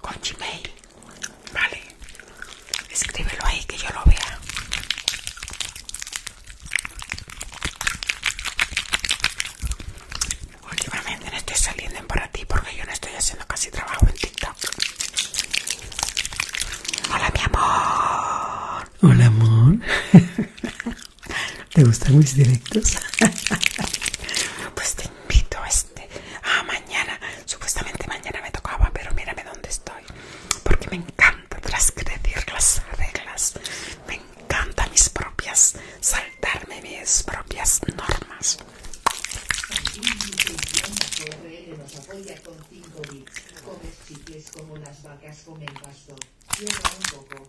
con Gmail, vale, escríbelo ahí que yo lo vea. Últimamente no estoy saliendo para ti porque yo no estoy haciendo casi trabajo en TikTok. Hola mi amor. Hola amor. [LAUGHS] ¿Te gustan mis directos? [LAUGHS] Pues te invito este a mañana. Supuestamente mañana me tocaba, pero mírame dónde estoy. Porque me encanta trascrecer las reglas. Me encanta mis propias, saltarme mis propias normas. como un poco.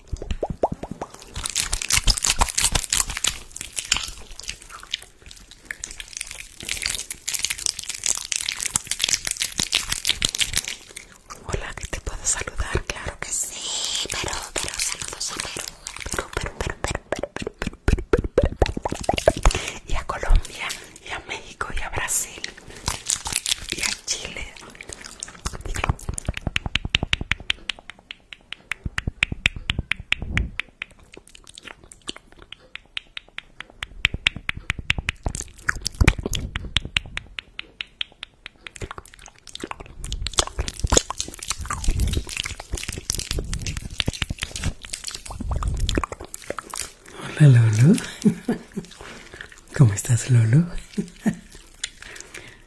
Hola, ¿qué te puedo saludar, claro que sí, pero, saludos a Perú, y a Colombia, y a México, y a Brasil, y a Chile. Hola Lolo, [LAUGHS] ¿cómo estás Lolo?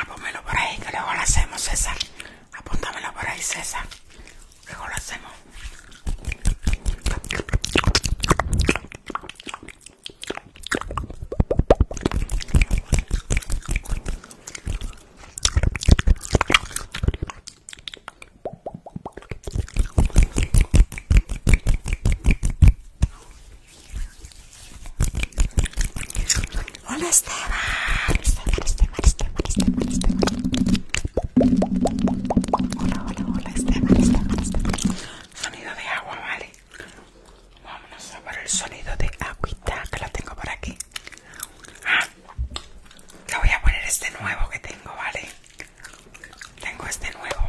Apónmelo ah, pues por ahí, que luego lo hacemos, César. Apúntamelo por ahí, César. Luego lo hacemos. Hola Esteban, Esteban, Esteban, Esteban, Hola, hola, hola Esteban, Sonido de agua, vale. Vámonos a ver el sonido de agüita que lo tengo por aquí. Ah, le voy a poner este nuevo que tengo, vale. Tengo este nuevo.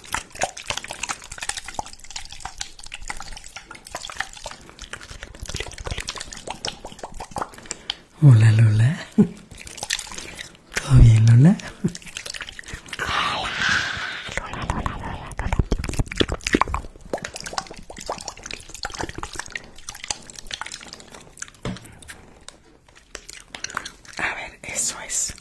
Hola Lola. ¿Todo bien Lola? A ver, eso es.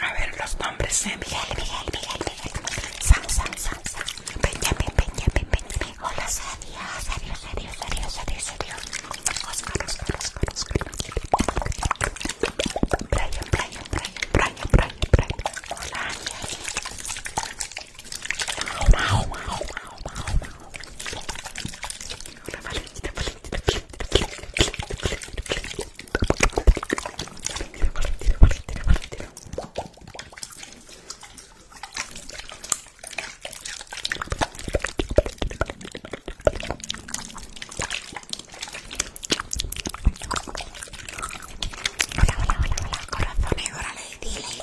A ver los nombres Miguel, Miguel, Miguel, Miguel, salsa. Benjamin, Benjamin, Benjamin. Hola, adiós, ah, Oscar, Brian, Brian, Brian, Hola, Hola, Valentina, Valentina, Valentina, Valentina, Valentina, Valentina hola, hola, hola, corazón, ahora le dile,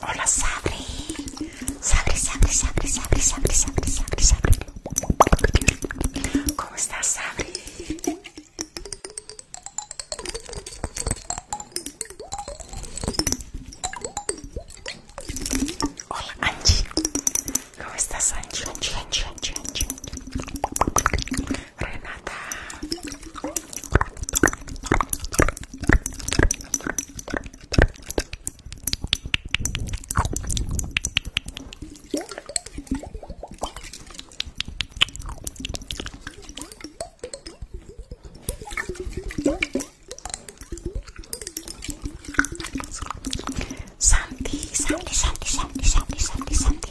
Hola, Sabri. Sabri, Sabri, Sabri, Sabri, Sabri, Sabri, Sabri, Sabri. ¿Cómo estás, Sabri? Hola, Angie. ¿Cómo estás, Angie? Angie, Angie, Angie, Angie. Renata. Santi, Santi, Santi, Santi, Santi, Santi, Santi,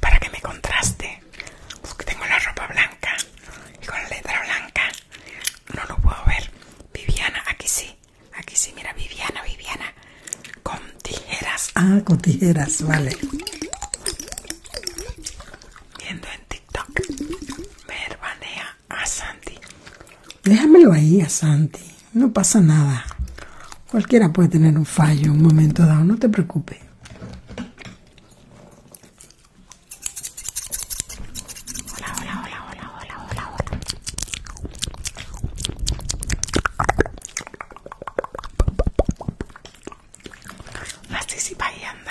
para que me contraste. Porque pues tengo la ropa blanca y con la letra blanca no lo puedo ver. Viviana, aquí sí, aquí sí, mira, Viviana, Viviana, con tijeras. Ah, con tijeras, vale. Viendo en TikTok, me a Santi. Déjamelo ahí a Santi no pasa nada. Cualquiera puede tener un fallo en un momento dado, no te preocupes. Hola, hola, hola, hola, hola, hola, hola. Así sí va y anda.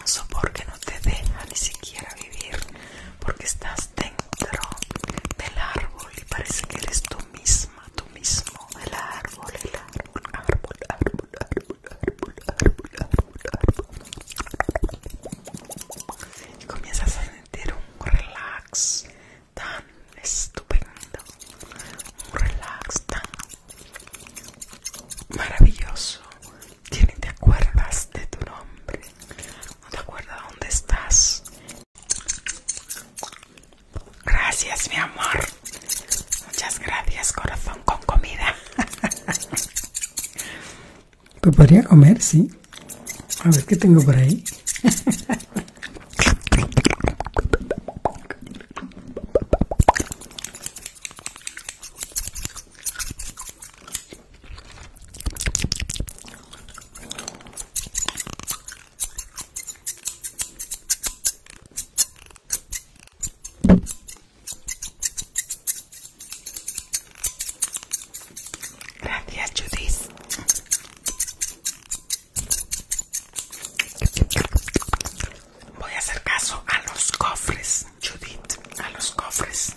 un sopor que no te deja ni siquiera vivir porque estás dentro del árbol y parece que eres tú misma, tú mismo, el árbol, el árbol, árbol, árbol, árbol, árbol, árbol, árbol, Y comienzas a sentir un relax tan estupendo, un relax tan maravilloso Tienes te acuerdas de tu nombre, no te acuerdas dónde estás. Gracias, mi amor. Muchas gracias, corazón con comida. [LAUGHS] Pues podría comer, sí. A ver qué tengo por ahí. [LAUGHS] Gracias, Judith. Voy a hacer caso a los cofres. Judith, a los cofres.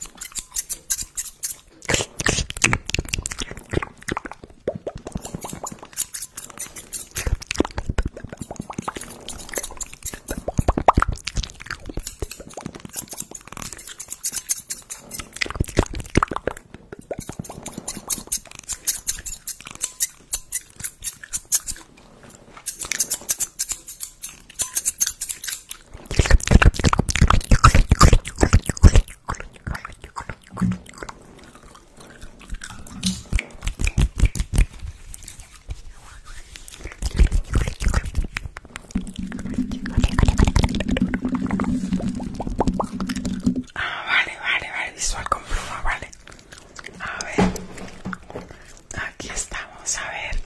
Ah, vale, vale, vale, visual con pluma, vale. A ver, aquí estamos, a ver.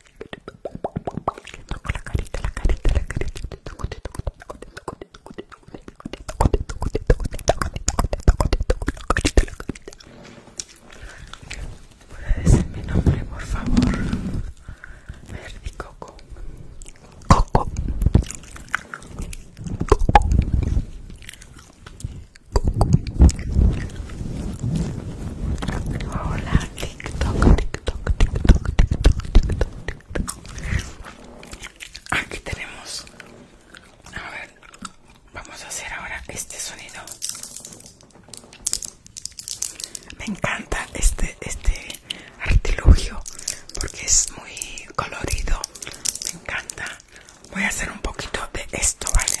la carita, la carita, la carita. decir mi nombre, por favor. Coco. Hola, TikTok, TikTok, TikTok, Aquí tenemos. A ver, vamos a hacer ahora este sonido. Me encanta este este artilugio porque es muy colorido. Me encanta. Voy a hacer un poquito de esto, ¿vale?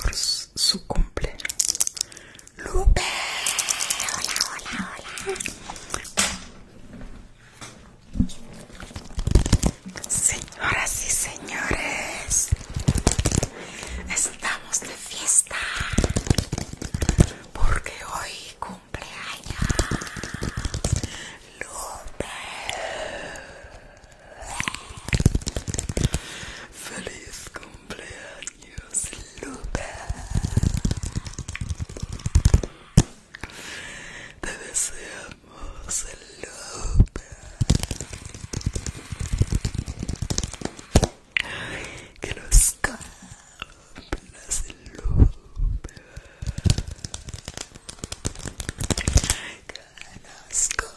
por su cumple. Lupe, hola, hola, hola. Señoras y señores, estamos de fiesta porque hoy cumpleaños Lupe. Feliz cumpleaños, Lupe. Te deseamos, Lupe. Que los cumplas, Lupe. Que los cumplas.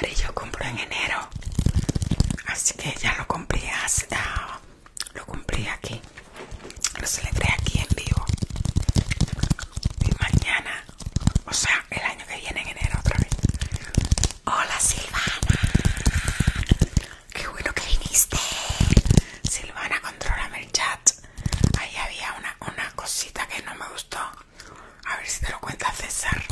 ver, yo compro en enero, así que ya lo compré ah, lo compré aquí, lo celebré aquí en vivo y mañana, o sea, el año que viene en enero otra vez. Hola Silvana, qué bueno que viniste. Silvana, controlame el chat. Ahí había una cosita que no me gustó. A ver si te lo cuenta César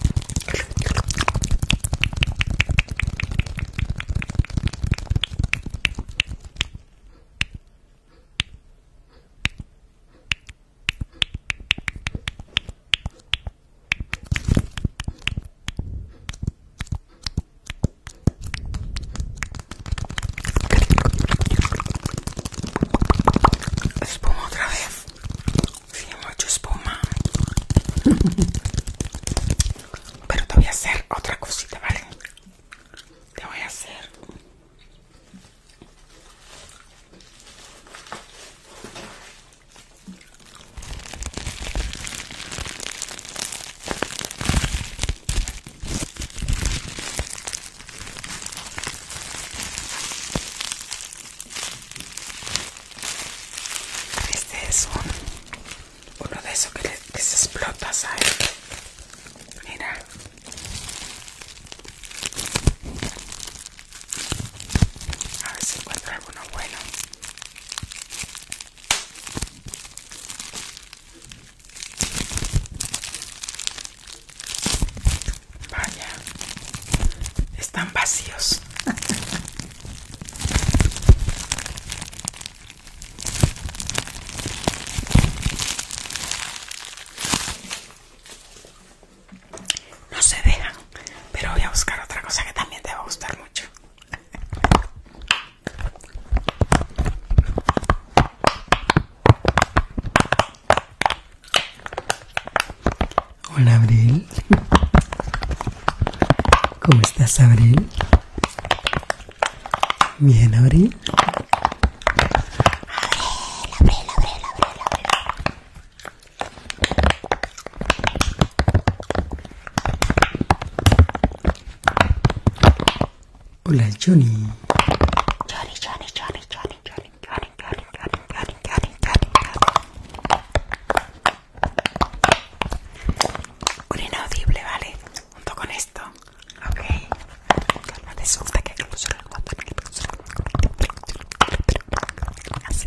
espuma otra vez si sí, hemos espuma [LAUGHS] pero te voy a hacer otra cosita vale te voy a hacer este es un, uno de esos que, se explota, ¿sabes? Mira. A ver si encuentro alguno bueno. Vaya, están vacíos. No se dejan, pero voy a buscar otra cosa que también te va a gustar mucho. Hola, Abril. ¿Cómo estás, Abril? Bien, Abril. Abril, Abril, Abril, Abril, Abril. Hola, Johnny. Johnny, Johnny, Johnny, Johnny. Un inaudible, ¿vale? Junto con esto. Ok. No te que Así. Así.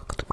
Hola Pancho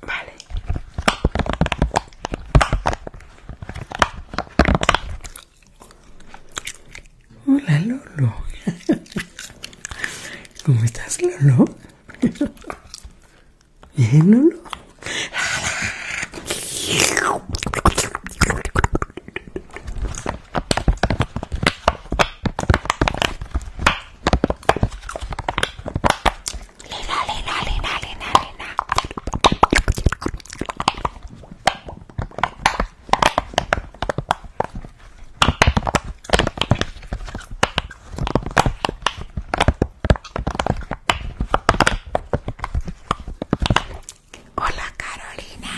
Vale. Hola Lolo. ¿Cómo estás Lolo? Bien Lolo. Lina, Lina, Lina, Lina, Lina. Hola Carolina,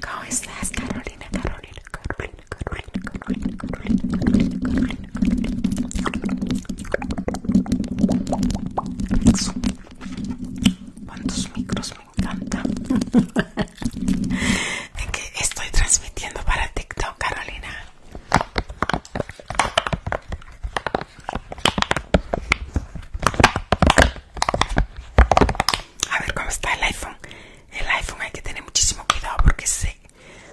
¿cómo estás Carolina? Carolina, Carolina, Carolina, Carolina, Carolina, Carolina, Carolina. ¿Cuántos micros me encanta? [LAUGHS] estoy transmitiendo para TikTok, Carolina? A ver cómo está el iPhone. El iPhone hay que tener muchísimo cuidado porque sé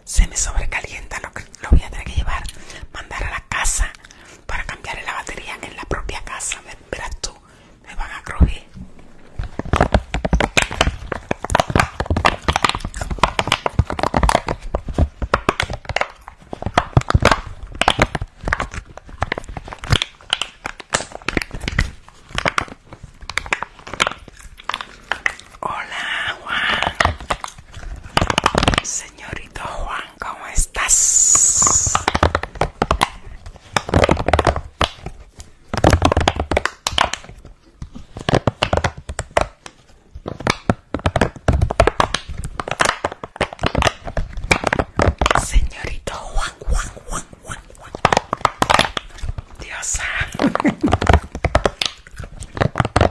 se me sobrecalienta lo lo voy a tener que llevar, mandar a la casa para cambiar la batería en la propia casa. Verás tú, me van a crujir. Hola Juan, señorito Juan, ¿cómo estás? Señorito Juan, Juan, Juan, Juan, Juan. Diosa.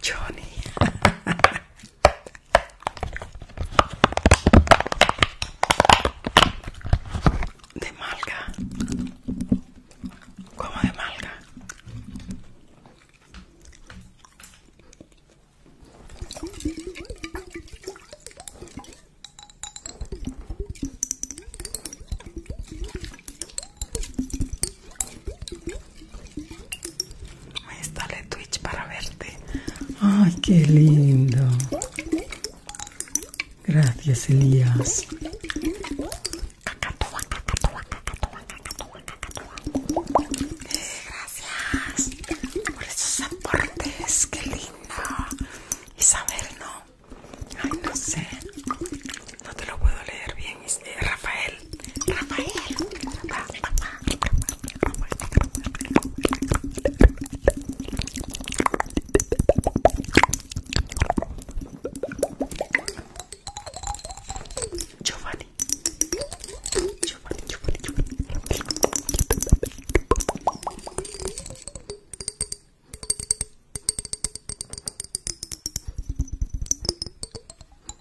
Johnny. De malga. Como de malga. Ahí está el Twitch para verte. Ay, qué lindo. Gracias, Elías. Gracias por esos aportes, qué lindo. Isabel, no. Ay, no sé no te lo puedo leer bien, eh, Rafael. Rafael. Giovanni. Giovanni, Giovanni, Giovanni.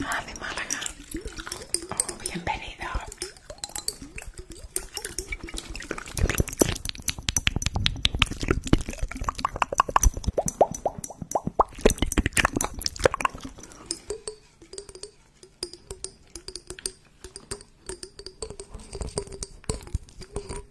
Ah, de Málaga. Oh, bienvenido.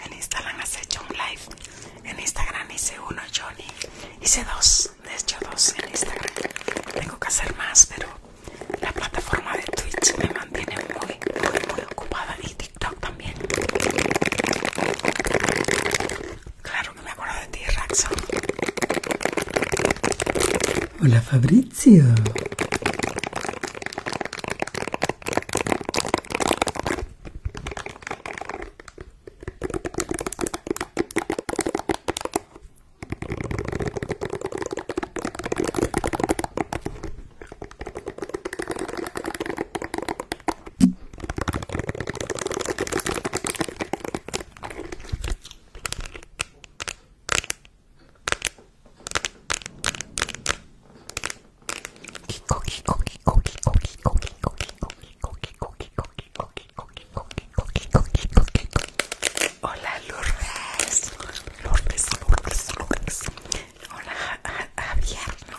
En Instagram has hecho un live. En Instagram hice uno, Johnny. Hice dos, de hecho dos en Instagram. Tengo que hacer más, pero la plataforma de Twitch me mantiene muy, muy, muy ocupada y también. Claro que me acuerdo de ti, Raxo Hola, Fabrizio. Hola Lourdes, Lourdes, Lourdes, Lourdes. Hola Javier,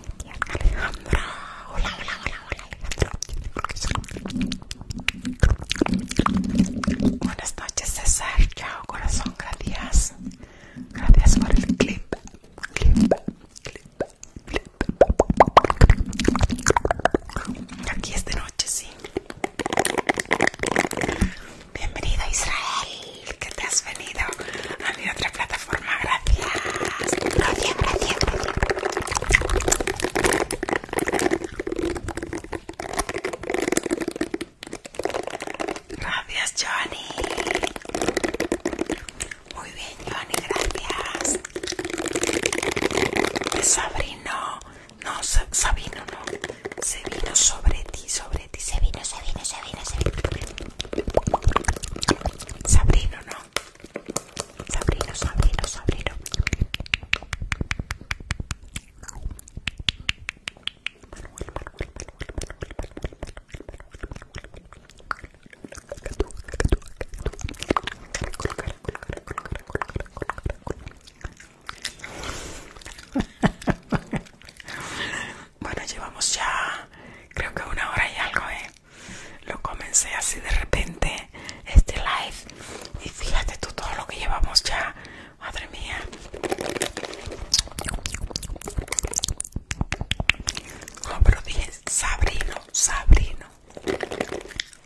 Alejandra. Hola, hola, hola, hola, Alejandra. Buenas noches, César. Chao, corazón. Gracias. Gracias por el clip. Clip, clip, clip. Aquí es de noche, sí. Bienvenido, Israel. Qué te has venido a mi otra plataforma forma. ¡Gracias! ¡Gracias, Gracias. Gracias, gracias. Gracias, Johnny. Muy bien, Johnny, gracias. Sabrino, no, Sabrino, no. Se vino sobre ti, sobre ti. Se vino, se vino, se vino, se vino. Sabrino, no sobrino sobrino sobrino sobrino colocar, [LAUGHS] colocar, colocar, colocar, Manuel, Manuel. bueno, llevamos ya creo que una hora y algo, ¿eh? lo comencé así de repente este live y fíjate tú todo lo que llevamos ya madre mía no pero dije Sabrino Sabrino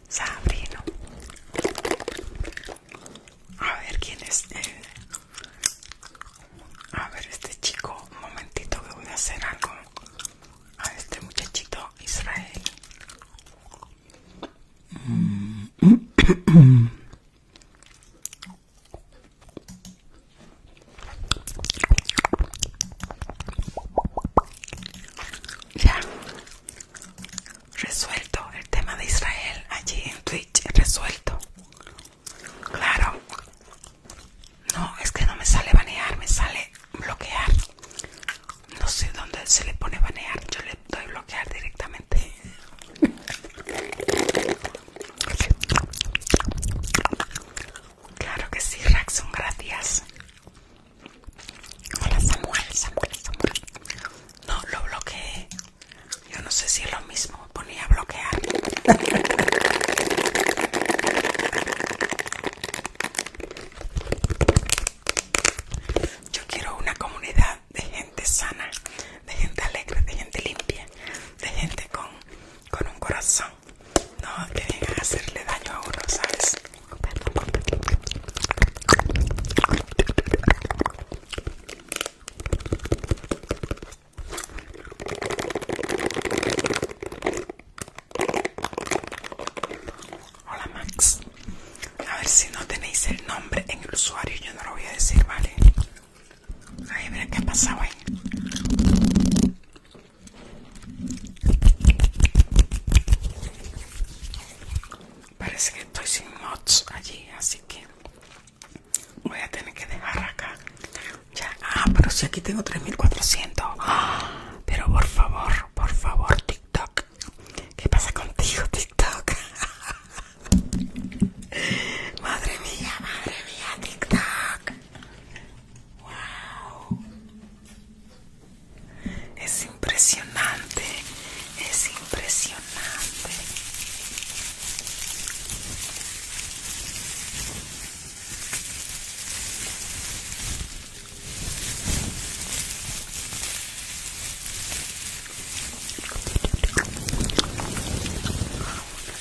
Sabrino a ver quién es a ver este chico un momentito que voy a hacer algo a este muchachito Israel. [CLEARS THROAT] Ya resuelto el tema de Israel allí en Twitch, resuelto. Claro, no, es que no me sale banear, me sale bloquear. No sé dónde se le pone banear, yo le doy bloquear directamente. Claro que sí, Raxon, gracias. Hola Samuel, Samuel, No, lo bloqueé. Yo no sé si es lo mismo, ponía bloquear. Yo quiero una comunidad de gente sana, de gente alegre, de gente limpia, de gente con, un corazón. No que venga a hacerle daño a uno, ¿sabes? Hola Max. A ver si no tenéis el nombre en el usuario, yo no lo voy a decir, ¿vale? Ahí mira qué ha pasado ahí. Parece que estoy sin mods allí, así que voy a tener que dejar acá ah, pero si aquí tengo 3400. pero por favor, por favor, TikTok. ¿Qué pasa contigo, TikTok? [LAUGHS] madre mía, madre mía, TikTok. Wow. Es impresionante. Es impresionante.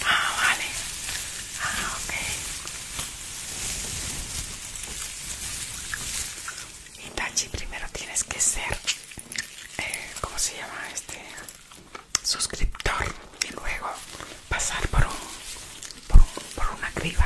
Ah, vale. Ah, ok. Itachi, primero tienes que ser, eh, ¿cómo se llama este? Suscriptor y luego pasar por, por, una criba.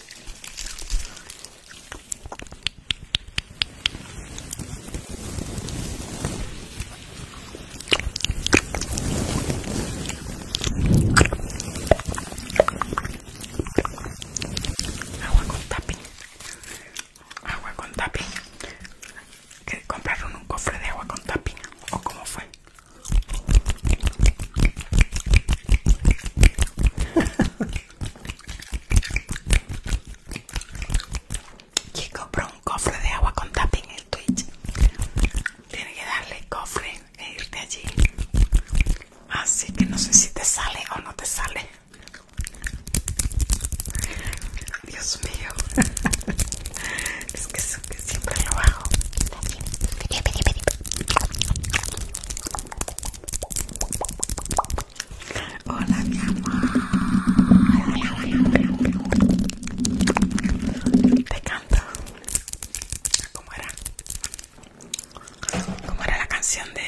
Agua con tapi. Agua con tapi. Que compraron un cofre de agua con tapi. ¿O cómo fue? Chico, compró un cofre de agua con tapping en el Twitch. Tiene que darle cofre e irte allí. Así que no sé si te sale o no te sale. Dios mío. [LAUGHS] es que siempre lo hago. Hola mi amor. Te canto. ¿Cómo era? ¿Cómo era la canción de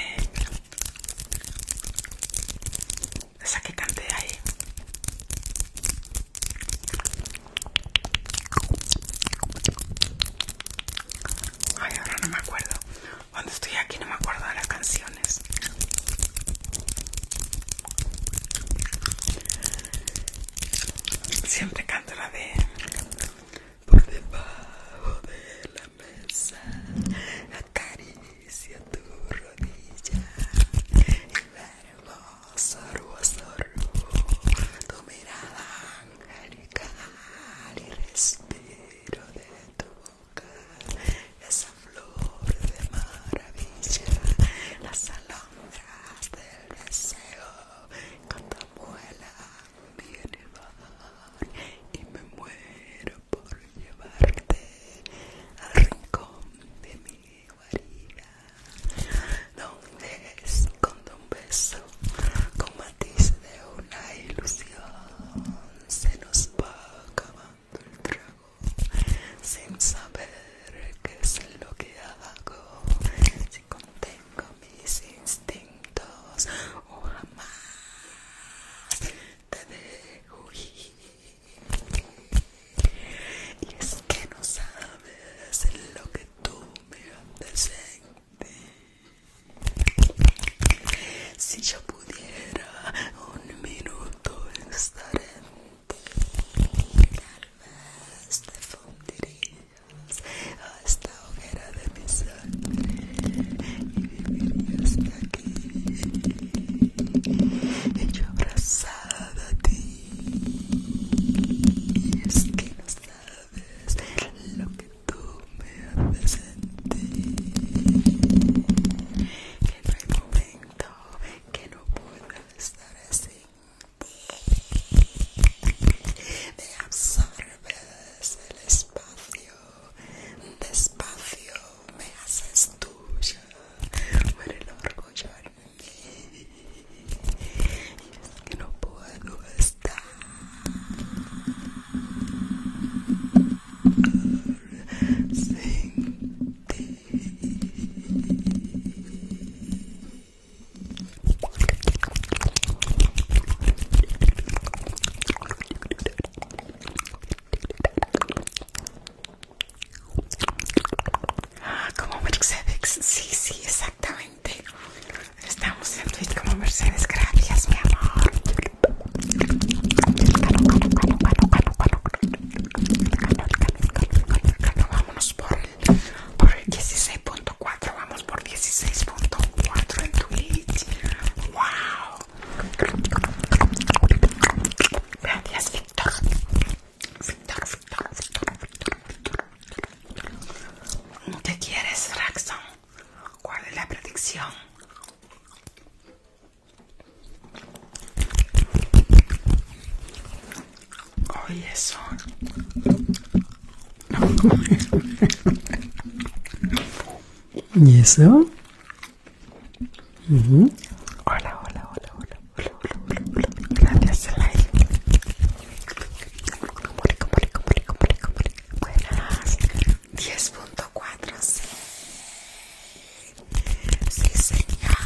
esa que canté ahí? Ay, ahora no me acuerdo. Cuando estoy aquí no me acuerdo de las canciones. Siempre canto la de Por debajo de la mesa Acaricia tu rodilla Y verbo sorbo sorbo Tu mirada y respiro de tu boca esa flor de maravilla, las alondras del deseo viene mi elevar y me muero por llevarte al rincón de mi guarida donde escondo un beso como de una ilusión se nos va acabando el trago sin saber qué es lo que hago si contengo mis instintos o jamás te dejo y es que no sabes lo que tú me haces si yo pudiera un minuto estar en ti, tal vez te fundirías a esta hoguera de mi sangre y vivirías aquí. Y yo abrazada a ti, es que no sabes lo que tú me haces sentir que no hay momento que no pueda estar así me absorbes el espacio despacio me haces tuya por el orgullo en mí que no puedo estar. Sin ah, ti. Como Mercedes, sí, sí, exactamente. Estamos en Twitch como Mercedes, gracias mi amor. Vámonos por el, por el 16.4, vamos por 16.4 en Twitch. ¡Wow! Gracias, Victor. Victor, ¿No te quieres, Raxon? ¿Cuál es la predicción? Hoy es [LAUGHS] ¿Y eso? Hola, hola, hola, hola, hola, hola, hola, hola. Buenas. 10.4. Sí. sí, señor.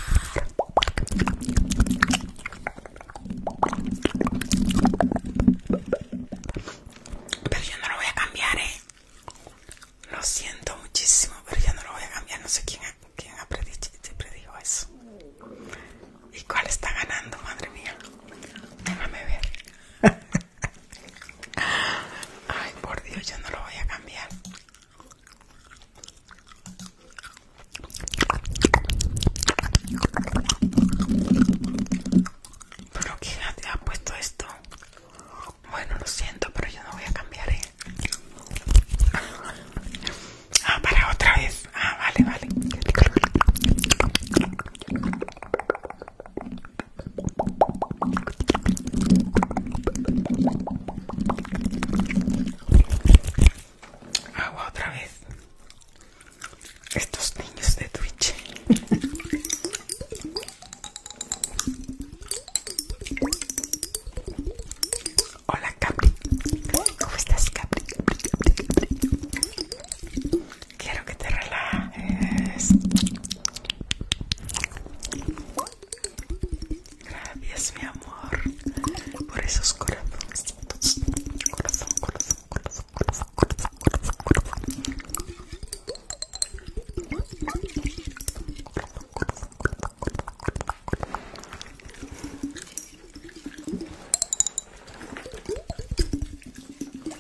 Pero yo no lo voy a cambiar, eh. Lo siento muchísimo, pero yo no lo voy a cambiar. No sé quién, quién ha predicho, predijo eso. ¿Y cuál está ganando, madre mía? Déjame ver. Ay, por Dios, yo no lo voy a cambiar. Pero quién ha puesto esto. Bueno, lo siento, pero yo no voy a cambiar, ¿eh? Ah, para otra vez. Ah, vale, vale. Agua otra vez. Estos niños de Twitch. Hola Capri. ¿Cómo estás Capri? Capri. Quiero que te relajes. Gracias, mi amor, por esos corazones. Corazón, corazón, corazón, corazón, corazón, corazón, corazón.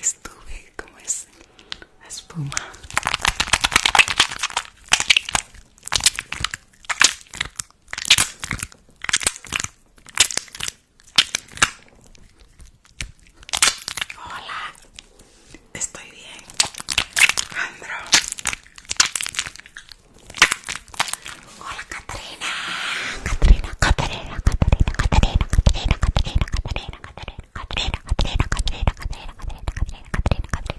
Estuve como es la espuma Hola, estoy bien, Andro. Hola, Katrina Katrina Katrina Katrina Katrina Katrina Katrina. Katrina. Katrina. Katrina.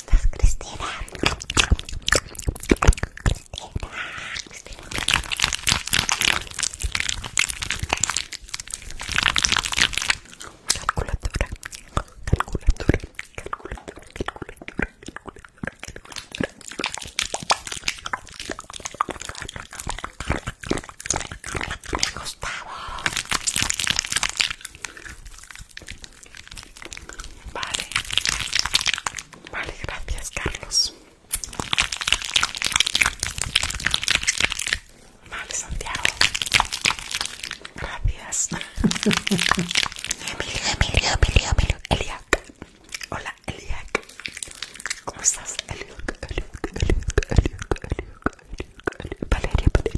Estás, Cristina? Cristina, Calculadora, calculadora, calculadora, calculadora, calculadora, calculadora. Me gustaba. Vale. Vale, gracias, Carlos. Vale, Santiago. Gracias. Emilio, Emilio, Emilio, Hola, Eliac. ¿Cómo estás? Eliac, Eliac, Eliac, Eliac, Eliac, Eliac, Eliac.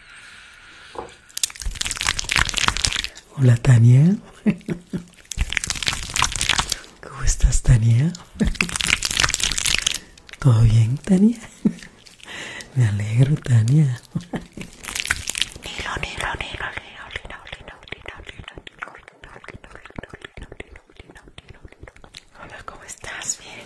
Hola Tania. ¿Cómo estás Tania? ¿Todo bien Tania? Me alegro Tania. Hola, ¿cómo estás? Bien,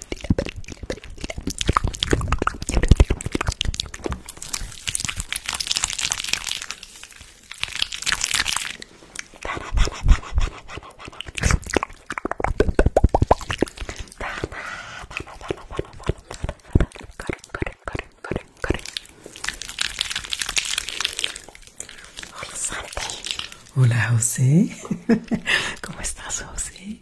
Hola José, [LAUGHS] ¿cómo estás José?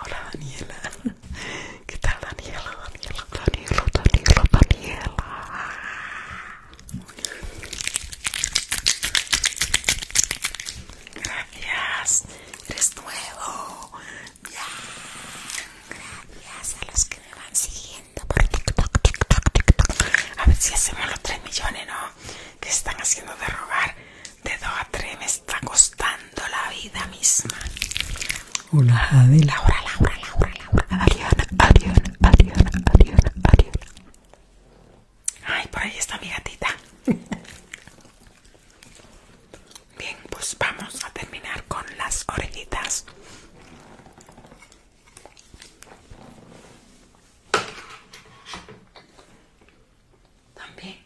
Hola Daniela. [LAUGHS] ¿Qué tal Daniela? Daniela, Daniela, Daniela, Daniela. Gracias. Eres nuevo. Gracias a los que me van siguiendo por TikTok, TikTok, TikTok. A ver si hacemos los 3 millones, ¿no? Que están haciendo de rogar de 2 a 3 me está costando la vida misma. Hola Adela Laura, Laura, Laura, Ariana, Ariana, Ariana, Ariana, Ay, por ahí está mi gatita. [LAUGHS] Bien, pues vamos a terminar con las orejitas. También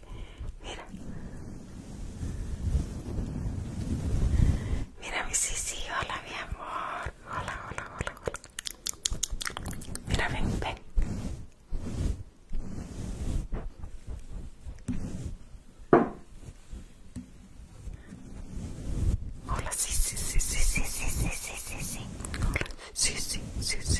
Mira. Mira mi sí, hola mi amor. Hola, hola, hola, hola. Mira, ven, ven. Hola, sí, sí, sí, sí, sí, sí, sí, sí, Hola, sí, sí, sí, sí, sí.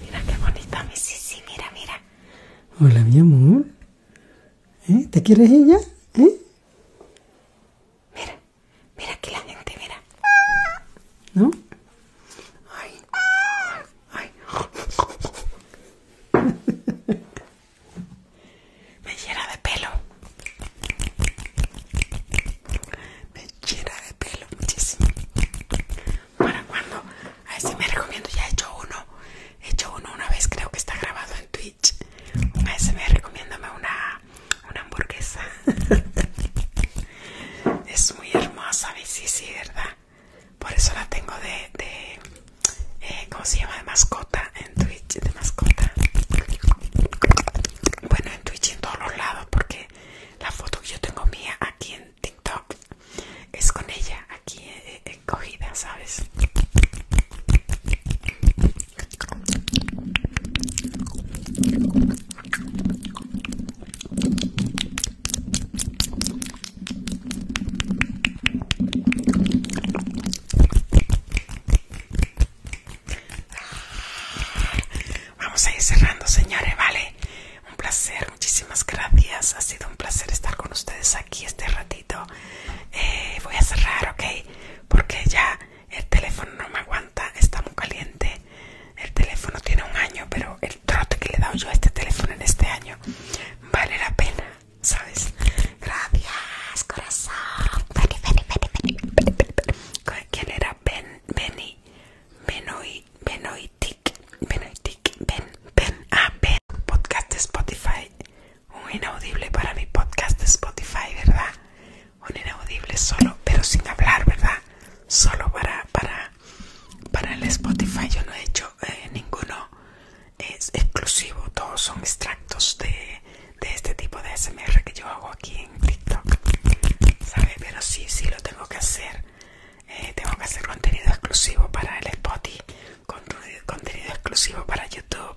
Mira qué bonita mi Sisi, mira, mira. Hola, mi amor. ¿Eh? ¿Te quieres ella ¿Eh? Mira, mira aquí la gente, mira. ¿No? [LAUGHS] Me llena de pelo me llena de pelo muchísimo. Bueno, cuando, a ver si me recomiendo, ya he hecho uno, he hecho uno una vez, creo que está grabado en Twitch. A veces me recomiendo una, una hamburguesa. [LAUGHS] es muy hermosa, sí, sí, ¿verdad? Por eso la tengo de, de eh, ¿cómo se llama? De mascota en Twitch, de mascota. Bueno, en Twitch en todos los lados, porque la foto que yo tengo mía aquí en TikTok es con ella aquí encogida, eh, eh, ¿sabes? Vamos a ir cerrando, señores, ¿vale? Un placer, muchísimas gracias. Ha sido un placer estar con ustedes aquí este ratito. Eh, voy a cerrar, ¿ok? Porque ya el teléfono no me aguanta, está muy caliente. El teléfono tiene un año, pero el trote que le he dado yo a este teléfono en este año vale la pena, ¿sabes? Gracias, corazón. ¿Quién era? ven hoy Tik, ven, ven, ah, Ben, podcast de Spotify. Un inaudible para mi podcast de Spotify, ¿verdad? Un inaudible solo, pero sin hablar, ¿verdad? Solo para, para, para el Spotify. Yo no he hecho eh, ninguno es exclusivo. Todos son extractos de, de este tipo de SMR que yo hago aquí TikTok, ¿sabes? Pero sí, sí lo tengo que hacer. Eh, tengo que hacer contenido exclusivo para el Spotify, contenido exclusivo para YouTube,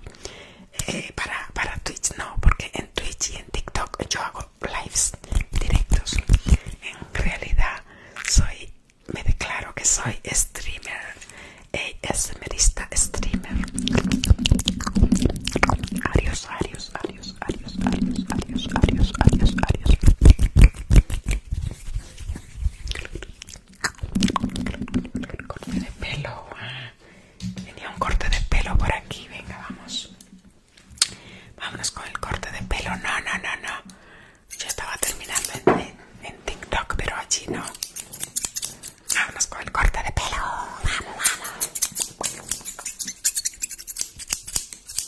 eh, para, para Twitch no, porque en Twitch y en TikTok yo hago lives directos. En realidad soy, me declaro que soy streamer, ASMRista eh, streamer. Adiós, adiós, adiós. Arios, Arios, Arios, Arios, Arios, Arios, el Corte de pelo. Ah. Tenía un corte de pelo por aquí. Venga, vamos. Vámonos con el corte de pelo. No, no, no, no. Yo estaba terminando en, TikTok, pero allí no. Vámonos con el corte de pelo. Vamos, vamos.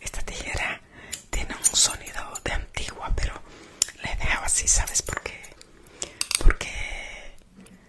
Esta tijera tiene un sonido de antigua, pero le he así, ¿sabes por qué? Porque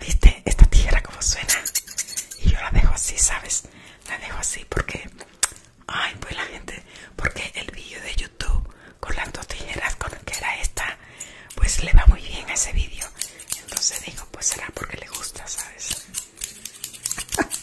¿Viste? Esta tijera como suena. Y yo la dejo así, ¿sabes? La dejo así porque... Ay, pues la gente... Porque el vídeo de YouTube con las dos tijeras con que era esta, pues le va muy bien a ese vídeo. Entonces digo, pues será porque le gusta, ¿sabes? [LAUGHS]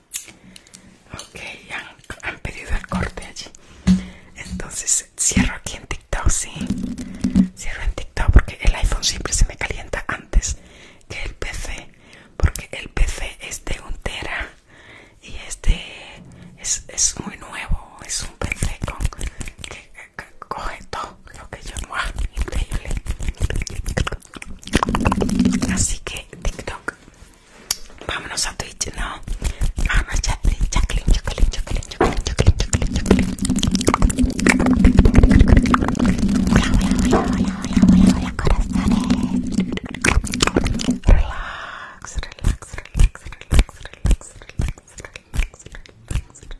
Ok, han, pedido el corte allí. Entonces cierro aquí en TikTok, sí. Cierro en TikTok porque el iPhone siempre se me calienta antes que el PC. Porque el PC es de un tera y este es, es muy nuevo. Es un PC que, coge todo lo que yo. hago Increíble. Así que TikTok Vámonos a Twitch, no. Vámonos, Jacqueline, Jacqueline, Jacqueline, Jacqueline, Jacqueline, Jacqueline, Jacqueline, Hola, hola, hola, hola, hola, hola, hola, corazones. Relax, relax, relax, relax, relax, relax, relax, relax, relax, relax.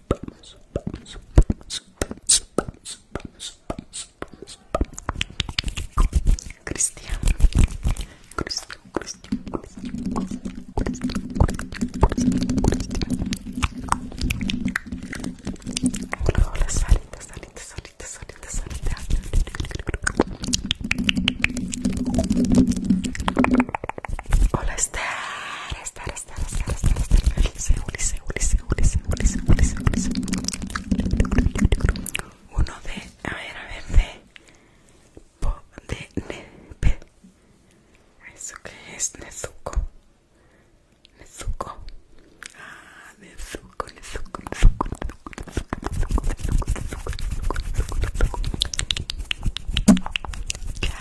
Cristian, Cristian, Cristian, Cristian, Hola, Hola, uno de a ver a ver de de eso es nezuko nezuko ah nezuko nezuko nezuko nezuko nezuko nezuko nezuko nezuko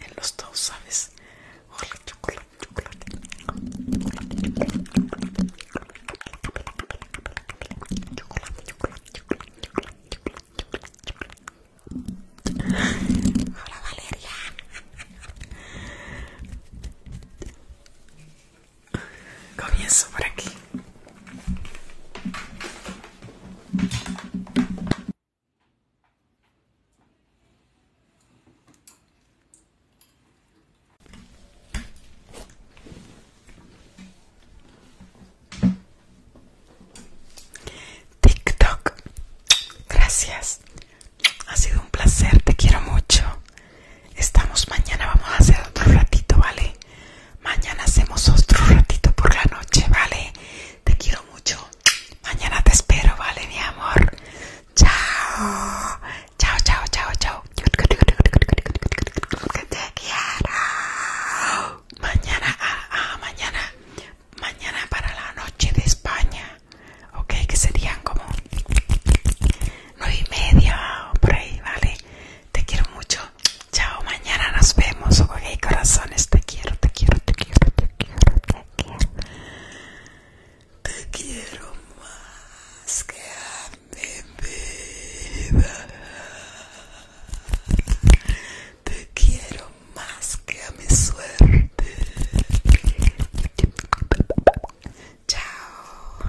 en los dos, ¿sabes? Hola, Hola, Valeria. Comienzo por aquí. TikTok, gracias. Ha sido un placer, te quiero mucho. Estamos mañana, vamos a hacer otro ratito, ¿vale? Mañana hacemos otro ratito por la noche, ¿vale? Te quiero mucho. Mañana te espero, ¿vale, mi amor? Chao. Chao, chao, chao, chao. Te quiero. Mañana, ah, ah, mañana. Mañana para la noche de España. Ok, que serían como nueve y media por ahí, ¿vale? Te quiero mucho. Chao, mañana nos vemos. Ok, corazones, te quiero, te quiero, te quiero, te quiero te quiero. más que a mi vida. Te quiero más que a mi suerte. Chao.